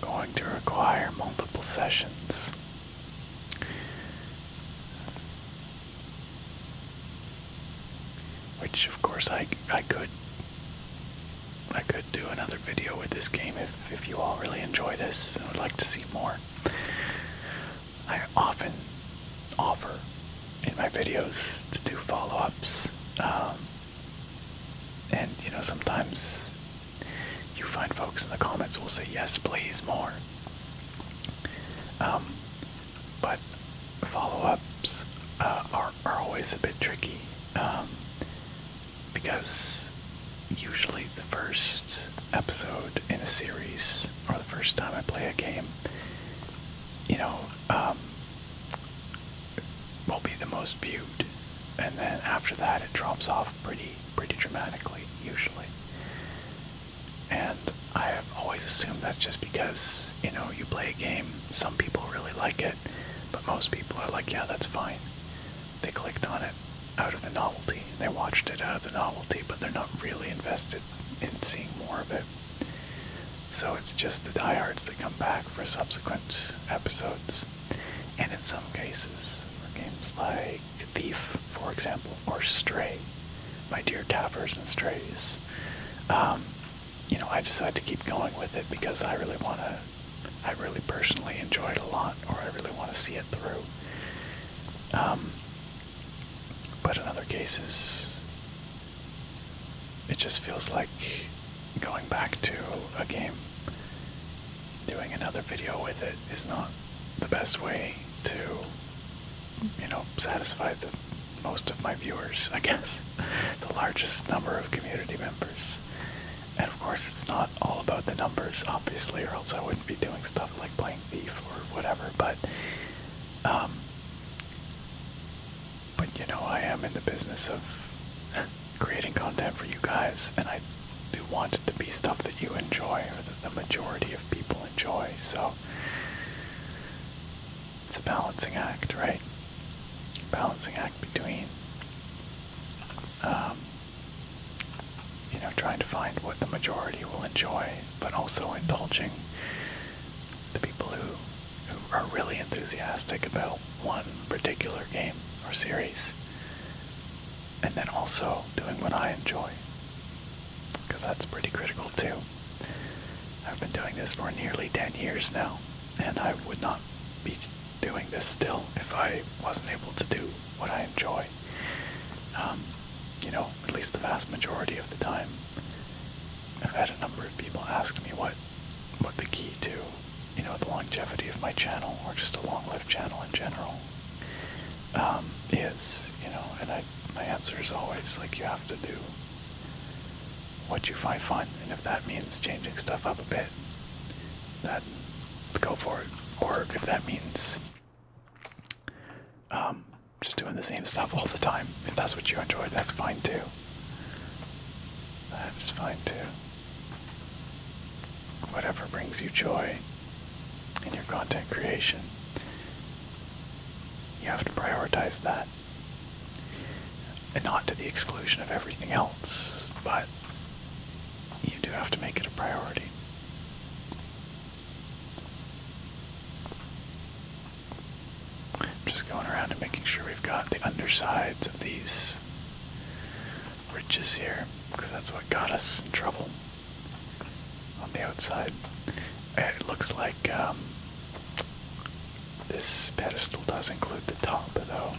going to require multiple sessions. Which, of course, I I could I could do another video with this game if if you all really enjoy this and would like to see more. I often offer in my videos to do follow-ups. Um, and you know, sometimes you find folks in the comments will say, yes, please, more. Um, but follow-ups uh, are, are always a bit tricky um, because usually the first episode in a series or the first time I play a game you know, um, will be the most viewed, and then after that it drops off pretty pretty dramatically usually. And I have always assumed that's just because you know you play a game. Some people really like it, but most people are like, yeah, that's fine. They clicked on it out of the novelty. They watched it out of the novelty, but they're not really invested in seeing more of it. So it's just the diehards that come back for subsequent episodes. And in some cases, for games like Thief, for example, or Stray, my dear Tappers and Strays, um, you know, I decided to keep going with it because I really want to, I really personally enjoy it a lot, or I really want to see it through. Um, but in other cases, it just feels like going back to a game. Doing another video with it is not the best way to, you know, satisfy the most of my viewers, I guess. the largest number of community members. And of course, it's not all about the numbers, obviously, or else I wouldn't be doing stuff like playing beef or whatever, but um, but you know, I am in the business of creating content for you guys, and I do want it to be stuff that you enjoy or that the majority of people enjoy, so it's a balancing act, right? Balancing act between, um, you know, trying to find what the majority will enjoy, but also indulging the people who who are really enthusiastic about one particular game or series, and then also doing what I enjoy. Because that's pretty critical too. I've been doing this for nearly 10 years now, and I would not be doing this still if I wasn't able to do what I enjoy. Um, you know, at least the vast majority of the time. I've had a number of people ask me what what the key to, you know, the longevity of my channel or just a long-lived channel in general um, is, you know, and my answer is always like you have to do what you find fun, and if that means changing stuff up a bit, that go for it. Or if that means um, just doing the same stuff all the time. If that's what you enjoy, that's fine too. That is fine too. Whatever brings you joy in your content creation, you have to prioritize that. And not to the exclusion of everything else, but you do have to make it a priority. I'm just going around and making sure we've got the undersides of these ridges here, because that's what got us in trouble on the outside. It looks like um, this pedestal does include the top, though.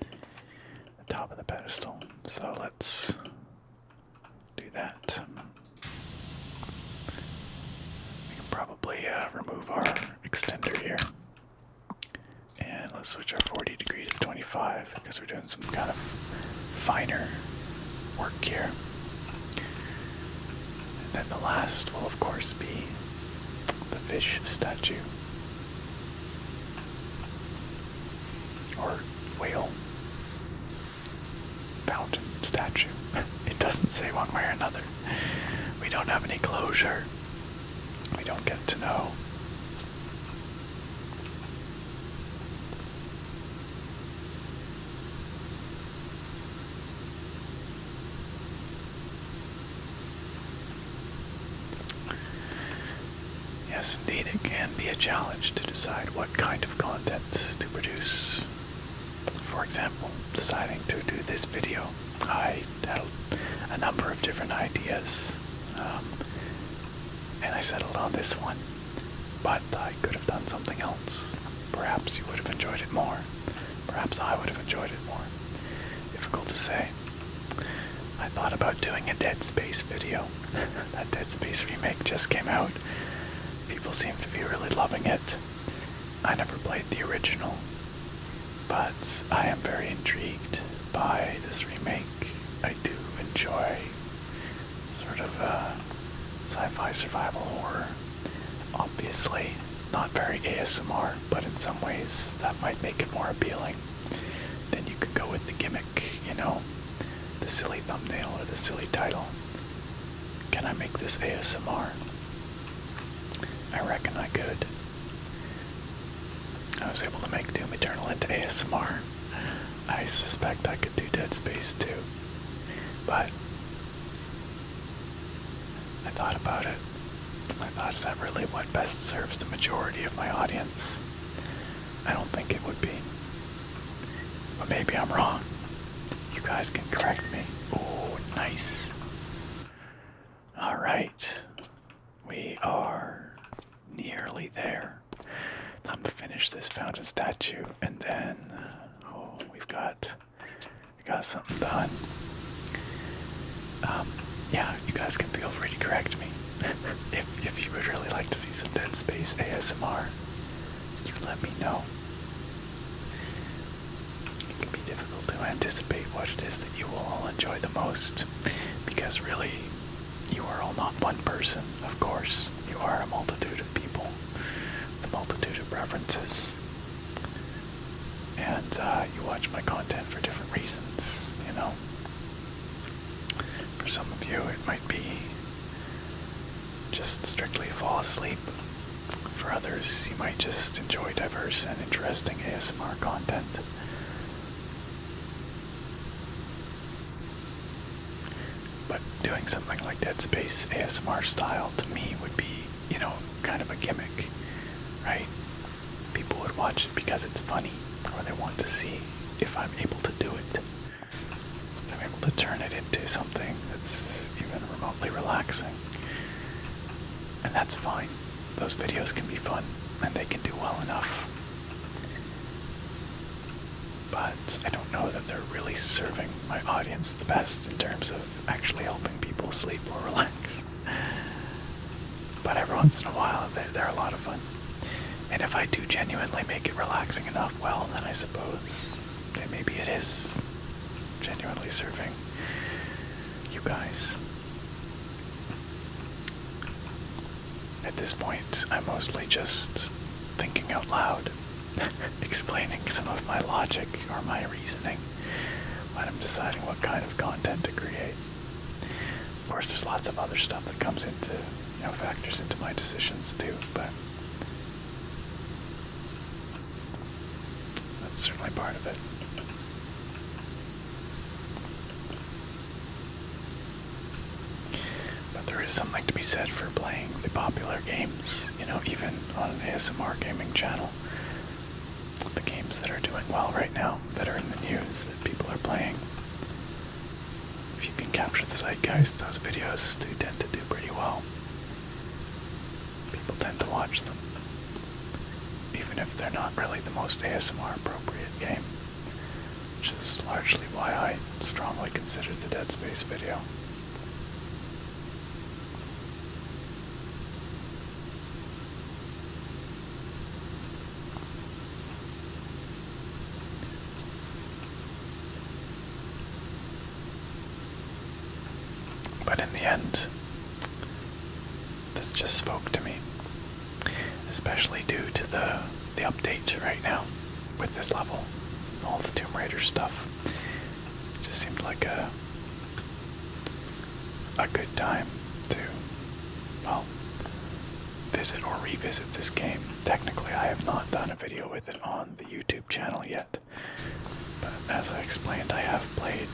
The top of the pedestal. So let's do that. We can probably uh, remove our extender here. And let's switch our 40 degree to 25 because we're doing some kind of finer work here. then the last will, of course, be the fish statue. Or whale fountain statue. It doesn't say one way or another. We don't have any closure. We don't get to know. Yes, indeed, it can be a challenge to decide what kind of content to produce. For example, deciding to do this video, I had a number of different ideas, um, and I settled on this one. But I could have done something else. Perhaps you would have enjoyed it more. Perhaps I would have enjoyed it more. Difficult to say. I thought about doing a Dead Space video. that Dead Space remake just came out. People seem to be really loving it. I never played the original, but I am very intrigued by this remake. I do enjoy sort of a uh, sci fi survival horror. Obviously, not very ASMR, but in some ways that might make it more appealing. Then you could go with the gimmick, you know, the silly thumbnail or the silly title. Can I make this ASMR? I reckon I could. I was able to make Doom Eternal into ASMR. I suspect I could do Dead Space too. But I thought about it. I thought, is that really what best serves the majority of my audience? I don't think it would be. But maybe I'm wrong. You guys can correct me. Oh, nice. All right. We are nearly there. Time to finish this fountain statue, and then oh, we've got we got something done. Um, yeah, you guys can feel free to correct me if if you would really like to see some Dead Space ASMR. You let me know. It can be difficult to anticipate what it is that you will all enjoy the most because really you are all not one person, of course. You are a multitude of people, a multitude of references. And uh, you watch my content for different reasons, you know. For some of you, it might be just strictly fall asleep. For others, you might just enjoy diverse and interesting ASMR content. But doing something like Dead Space ASMR style to me would be, you know, kind of a gimmick, right? People would watch it because it's funny, or they want to see if I'm able to do it. I'm able to turn it into something that's even remote relaxing. And that's fine. Those videos can be fun and they can do well enough. But I don't know that they're really serving my audience the best in terms of actually helping people sleep or relax. But every once in a while, they're, a lot of fun. And if I do genuinely make it relaxing enough, well, then I suppose maybe it is genuinely serving you guys. At this point, I'm mostly just thinking out loud, explaining some of my logic or my reasoning when I'm deciding what kind of content to create. Of course, there's lots of other stuff that comes into, you know, factors into my decisions too, but that's certainly part of it. But there is something to be said for playing the popular games, you know, even on an ASMR gaming channel. The games that are doing well right now, that are in the news, that people are playing. If you can capture the zeitgeist, those videos do tend to do pretty well. People tend to watch them, even if they're not really the most ASMR appropriate game, which is largely why I strongly consider the Dead Space video. But in the end, this just spoke to me, especially due to the the update right now with this level, all the Tomb Raider stuff. just seemed like a a good time to well visit or revisit this game. Technically, I have not done a video with it on the YouTube channel yet. But as I explained, I have played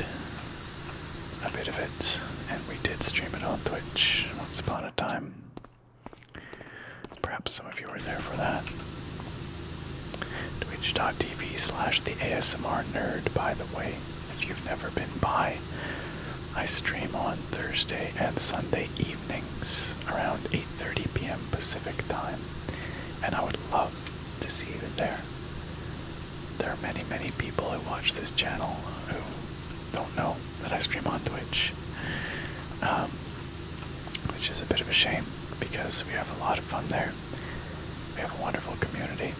a bit of it, and we did stream it on Twitch once upon a time. Perhaps some of you were there for that. Twitch.tv slash the ASMR nerd, by the way, if you've never been by. I stream on Thursday and Sunday evenings around 8:30 p.m. Pacific time, and I would love to see that there there are many many people who watch this channel who don't know that I stream on Twitch, um, which is a bit of a shame because we have a lot of fun there. We have a wonderful community.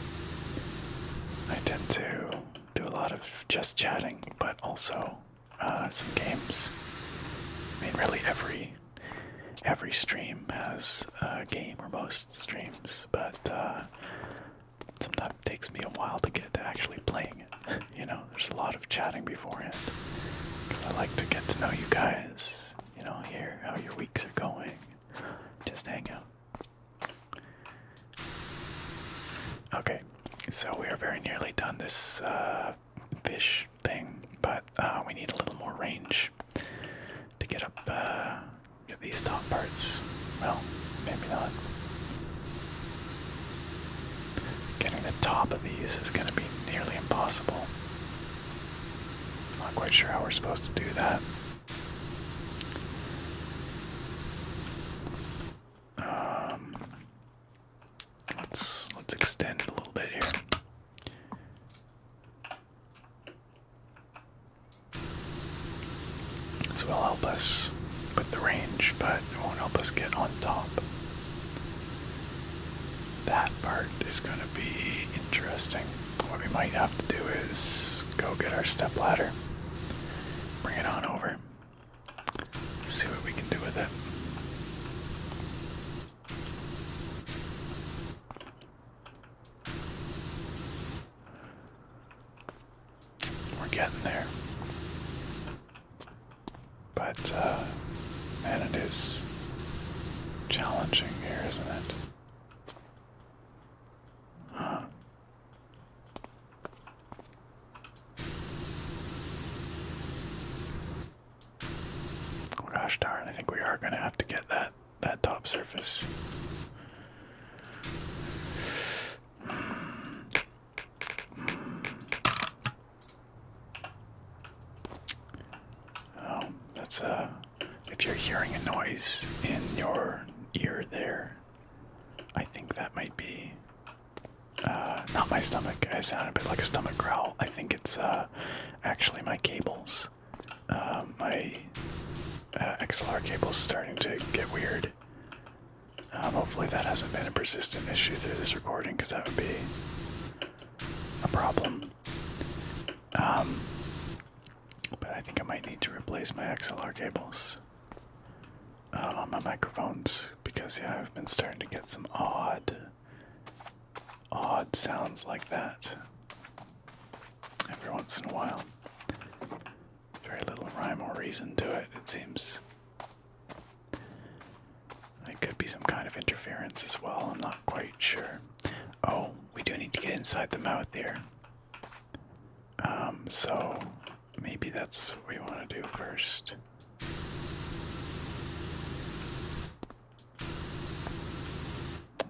I tend to do a lot of just chatting, but also uh, some games. I mean, really every every stream has a game or most streams, but uh, sometimes takes me a while to get to actually playing it. you know, there's a lot of chatting beforehand because I like to get to know you guys. You know, hear how your weeks are going, just hang out. Okay, so we are very nearly done this uh, fish thing, but uh, we need a little more range to get up, uh, get these top parts. Well, maybe not. Getting the top of these is going to be nearly impossible. Not quite sure how we're supposed to do that. Um, let's let's extend it a little bit here. This will help us with the range, but it won't help us get on top. That part is going to be interesting. What we might have to do is go get our step ladder, bring it on over, see what we can do with it. We're getting there. But, uh, man, it is challenging here, isn't it? Huh. Oh, gosh darn, I think we are going to have to get that that top surface. Oh, that's uh if you're hearing a noise in your ear there, I think that might be uh, not my stomach. I sound a bit like a stomach growl. I think it's uh actually my cables. Um, my uh, XLR cable's starting to get weird. Um, hopefully that hasn't been a persistent issue through this recording because that would be a problem. Um, but I think I might need to replace my XLR cables on my microphones because yeah, I've been starting to get some odd, odd sounds like that every once in a while. Very little rhyme or reason to it, it seems. It could be some kind of interference as well, I'm not quite sure. Oh, we do need to get inside the mouth here. Um, so maybe that's what we want to do first.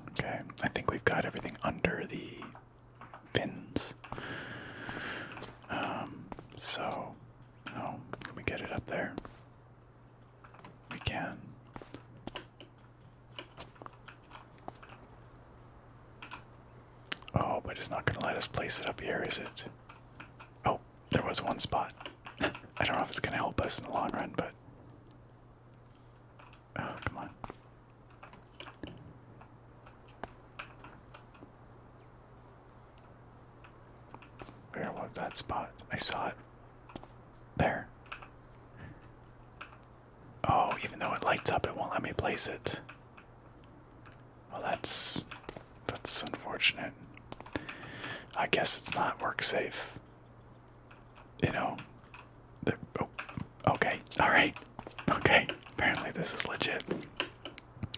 Okay, I think we've got everything under the fins. Um, so, no, can we get it up there? We can. Oh, but it's not going to let us place it up here, is it? Oh, there was one spot. I don't know if it's going to help us in the long run, but Oh, come on. Where was that spot? I saw it. There. Oh, even though it lights up, it won't let me place it. Well, that's that's unfortunate. I guess it's not work safe you know, the oh, okay, all right, okay. Apparently this is legit.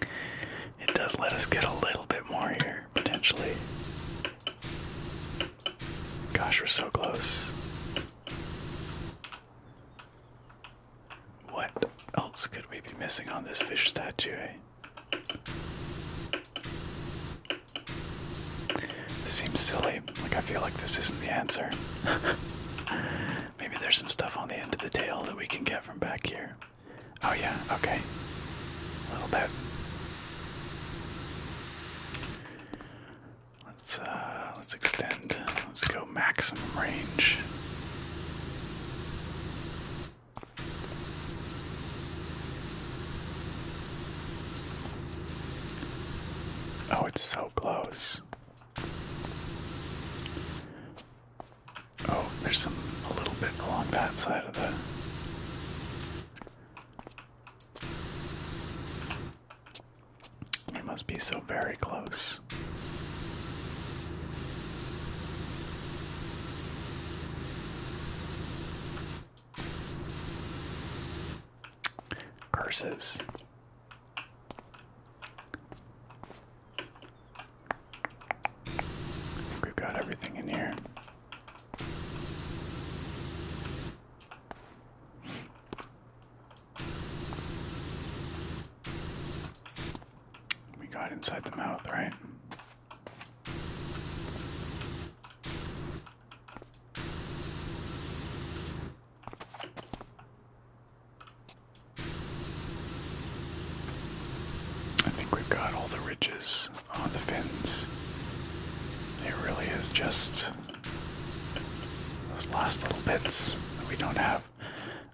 It does let us get a little bit more here potentially. Gosh, we're so close. What else could we be missing on this fish statue? Eh? seems silly, like, I feel like this isn't the answer. Maybe there's some stuff on the end of the tail that we can get from back here. Oh, yeah, okay. A little bit. Let's uh let's extend. Let's go maximum range. Oh, it's so close. Oh, there's some a little bit along that side of the. It must be so very close. Curses think we've got everything in here. We got inside the mouth, right? I think we've got all the ridges on the fins. It really is just those last little bits that we don't have.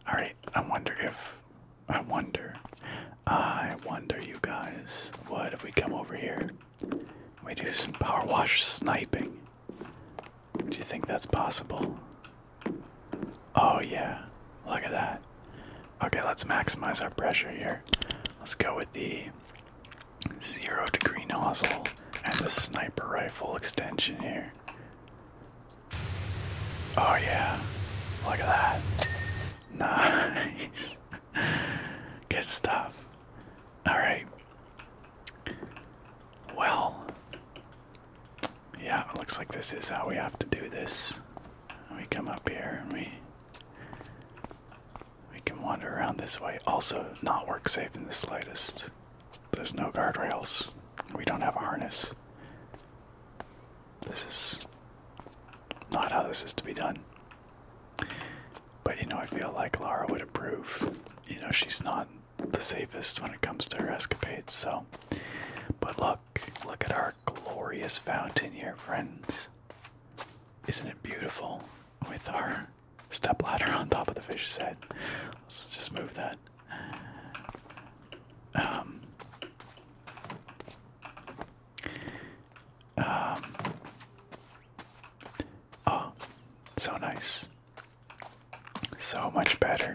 Alright, I wonder if. I wonder. I wonder, you guys, what if we come over here we do some power wash sniping. Do you think that's possible? Oh, yeah. Look at that. Okay, let's maximize our pressure here. Let's go with the zero degree nozzle and the sniper rifle extension here. Oh, yeah. Look at that. Nice. Good stuff. Alright. Well, yeah, it looks like this is how we have to do this. We come up here and we we can wander around this way. Also, not work safe in the slightest. There's no guardrails. We don't have a harness. This is not how this is to be done. But you know, I feel like Lara would approve. You know, she's not the safest when it comes to her escapades. So, but look, look at our glorious fountain here, friends. Isn't it beautiful with our step ladder on top of the fish's head? Let's just move that. Um, um, oh, so nice. So much better.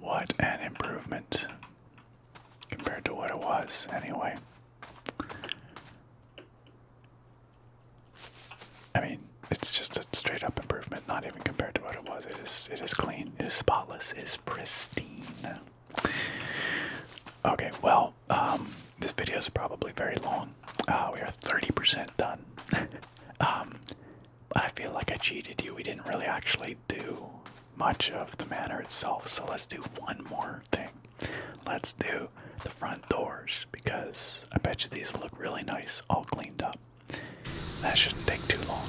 What an improvement compared to what it was, anyway. I mean, it's just a straight up improvement, not even compared to what it was. It is it is clean, it is spotless, it is pristine. Okay, well, um, this video is probably very long. Oh, we are 30% done. Um, I feel like I cheated you. We didn't really actually do much of the manor itself, so let's do one more thing. Let's do the front doors because I bet you these look really nice, all cleaned up. That shouldn't take too long.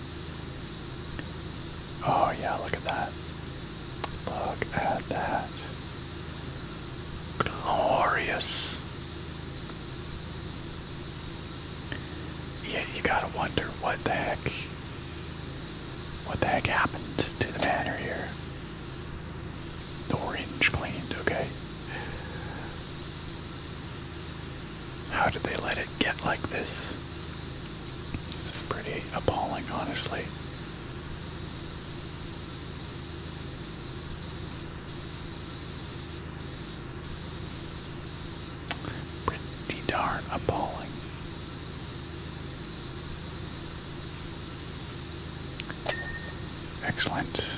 Oh, yeah, look at that. Look at that. Glorious. Yeah, you gotta wonder what the heck, what the heck happened to the banner here. The orange cleaned, okay. How did they let it get like this? This is pretty appalling, honestly. Pretty darn appalling. Excellent.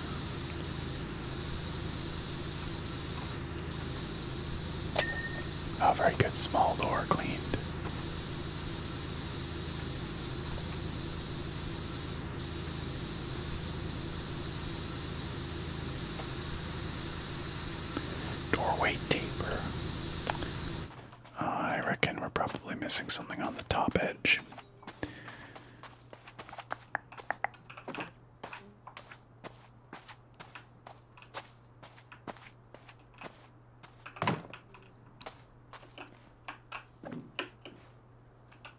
A oh, very good. Small door cleaned. Doorway taper. Uh, I reckon we're probably missing something on the top edge.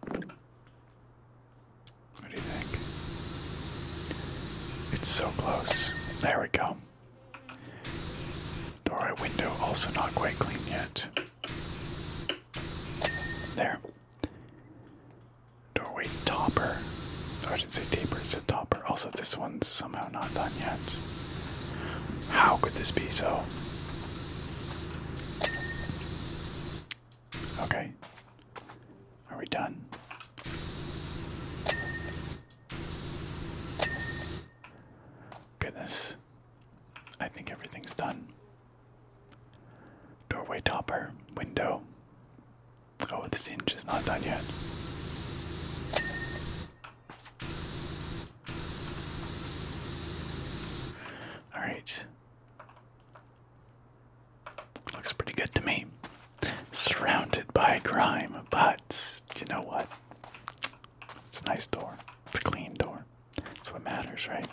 What do you think? It's so close. There we go. The window also not quite clean yet. There. Doorway topper. So I didn't say tapper. it's a topper. Also, this one's somehow not done yet. How could this be so? Okay. Are we done? Goodness. I think everything's done. Doorway topper, window. Oh, this hinge is not done yet. Alright. Looks pretty good to me. Surrounded by grime, but you know what? It's a nice door. It's a clean door. That's what matters, right?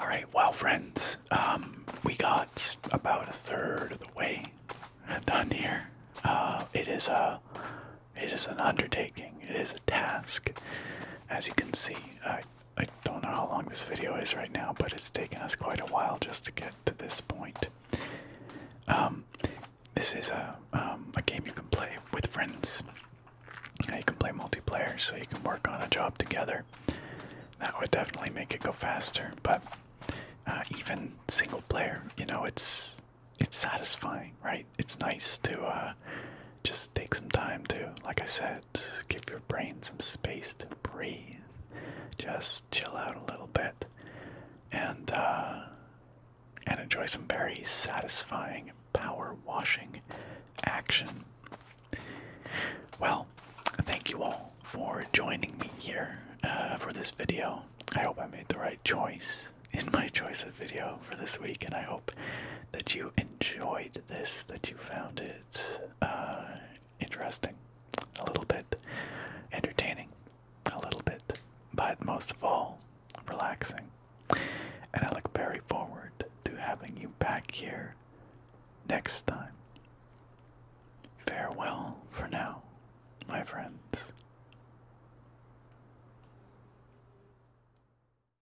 Alright, well, friends, um, we got about a third of the way done here. Uh, it is a, it is an undertaking. It is a task, as you can see. I don't know how long this video is right now, but it's taken us quite a while just to get to this point. Um, this is a um, a game you can play with friends. Uh, you, can play multiplayer, so you can work on a job together. That would definitely make it go faster. But uh, even single player, you know, it's it's satisfying, right? It's nice to uh, just take some time to, like I said, give your brain some space to breathe. Just chill out a little bit, and uh, and enjoy some very satisfying power washing action. Well, thank you all for joining me here uh, for this video. I hope I made the right choice in my choice of video for this week, and I hope that you enjoyed this, that you found it uh, interesting, a little bit entertaining, a little bit, but most of all, relaxing. And I look very forward to having you back here next time. Farewell for now, my friends.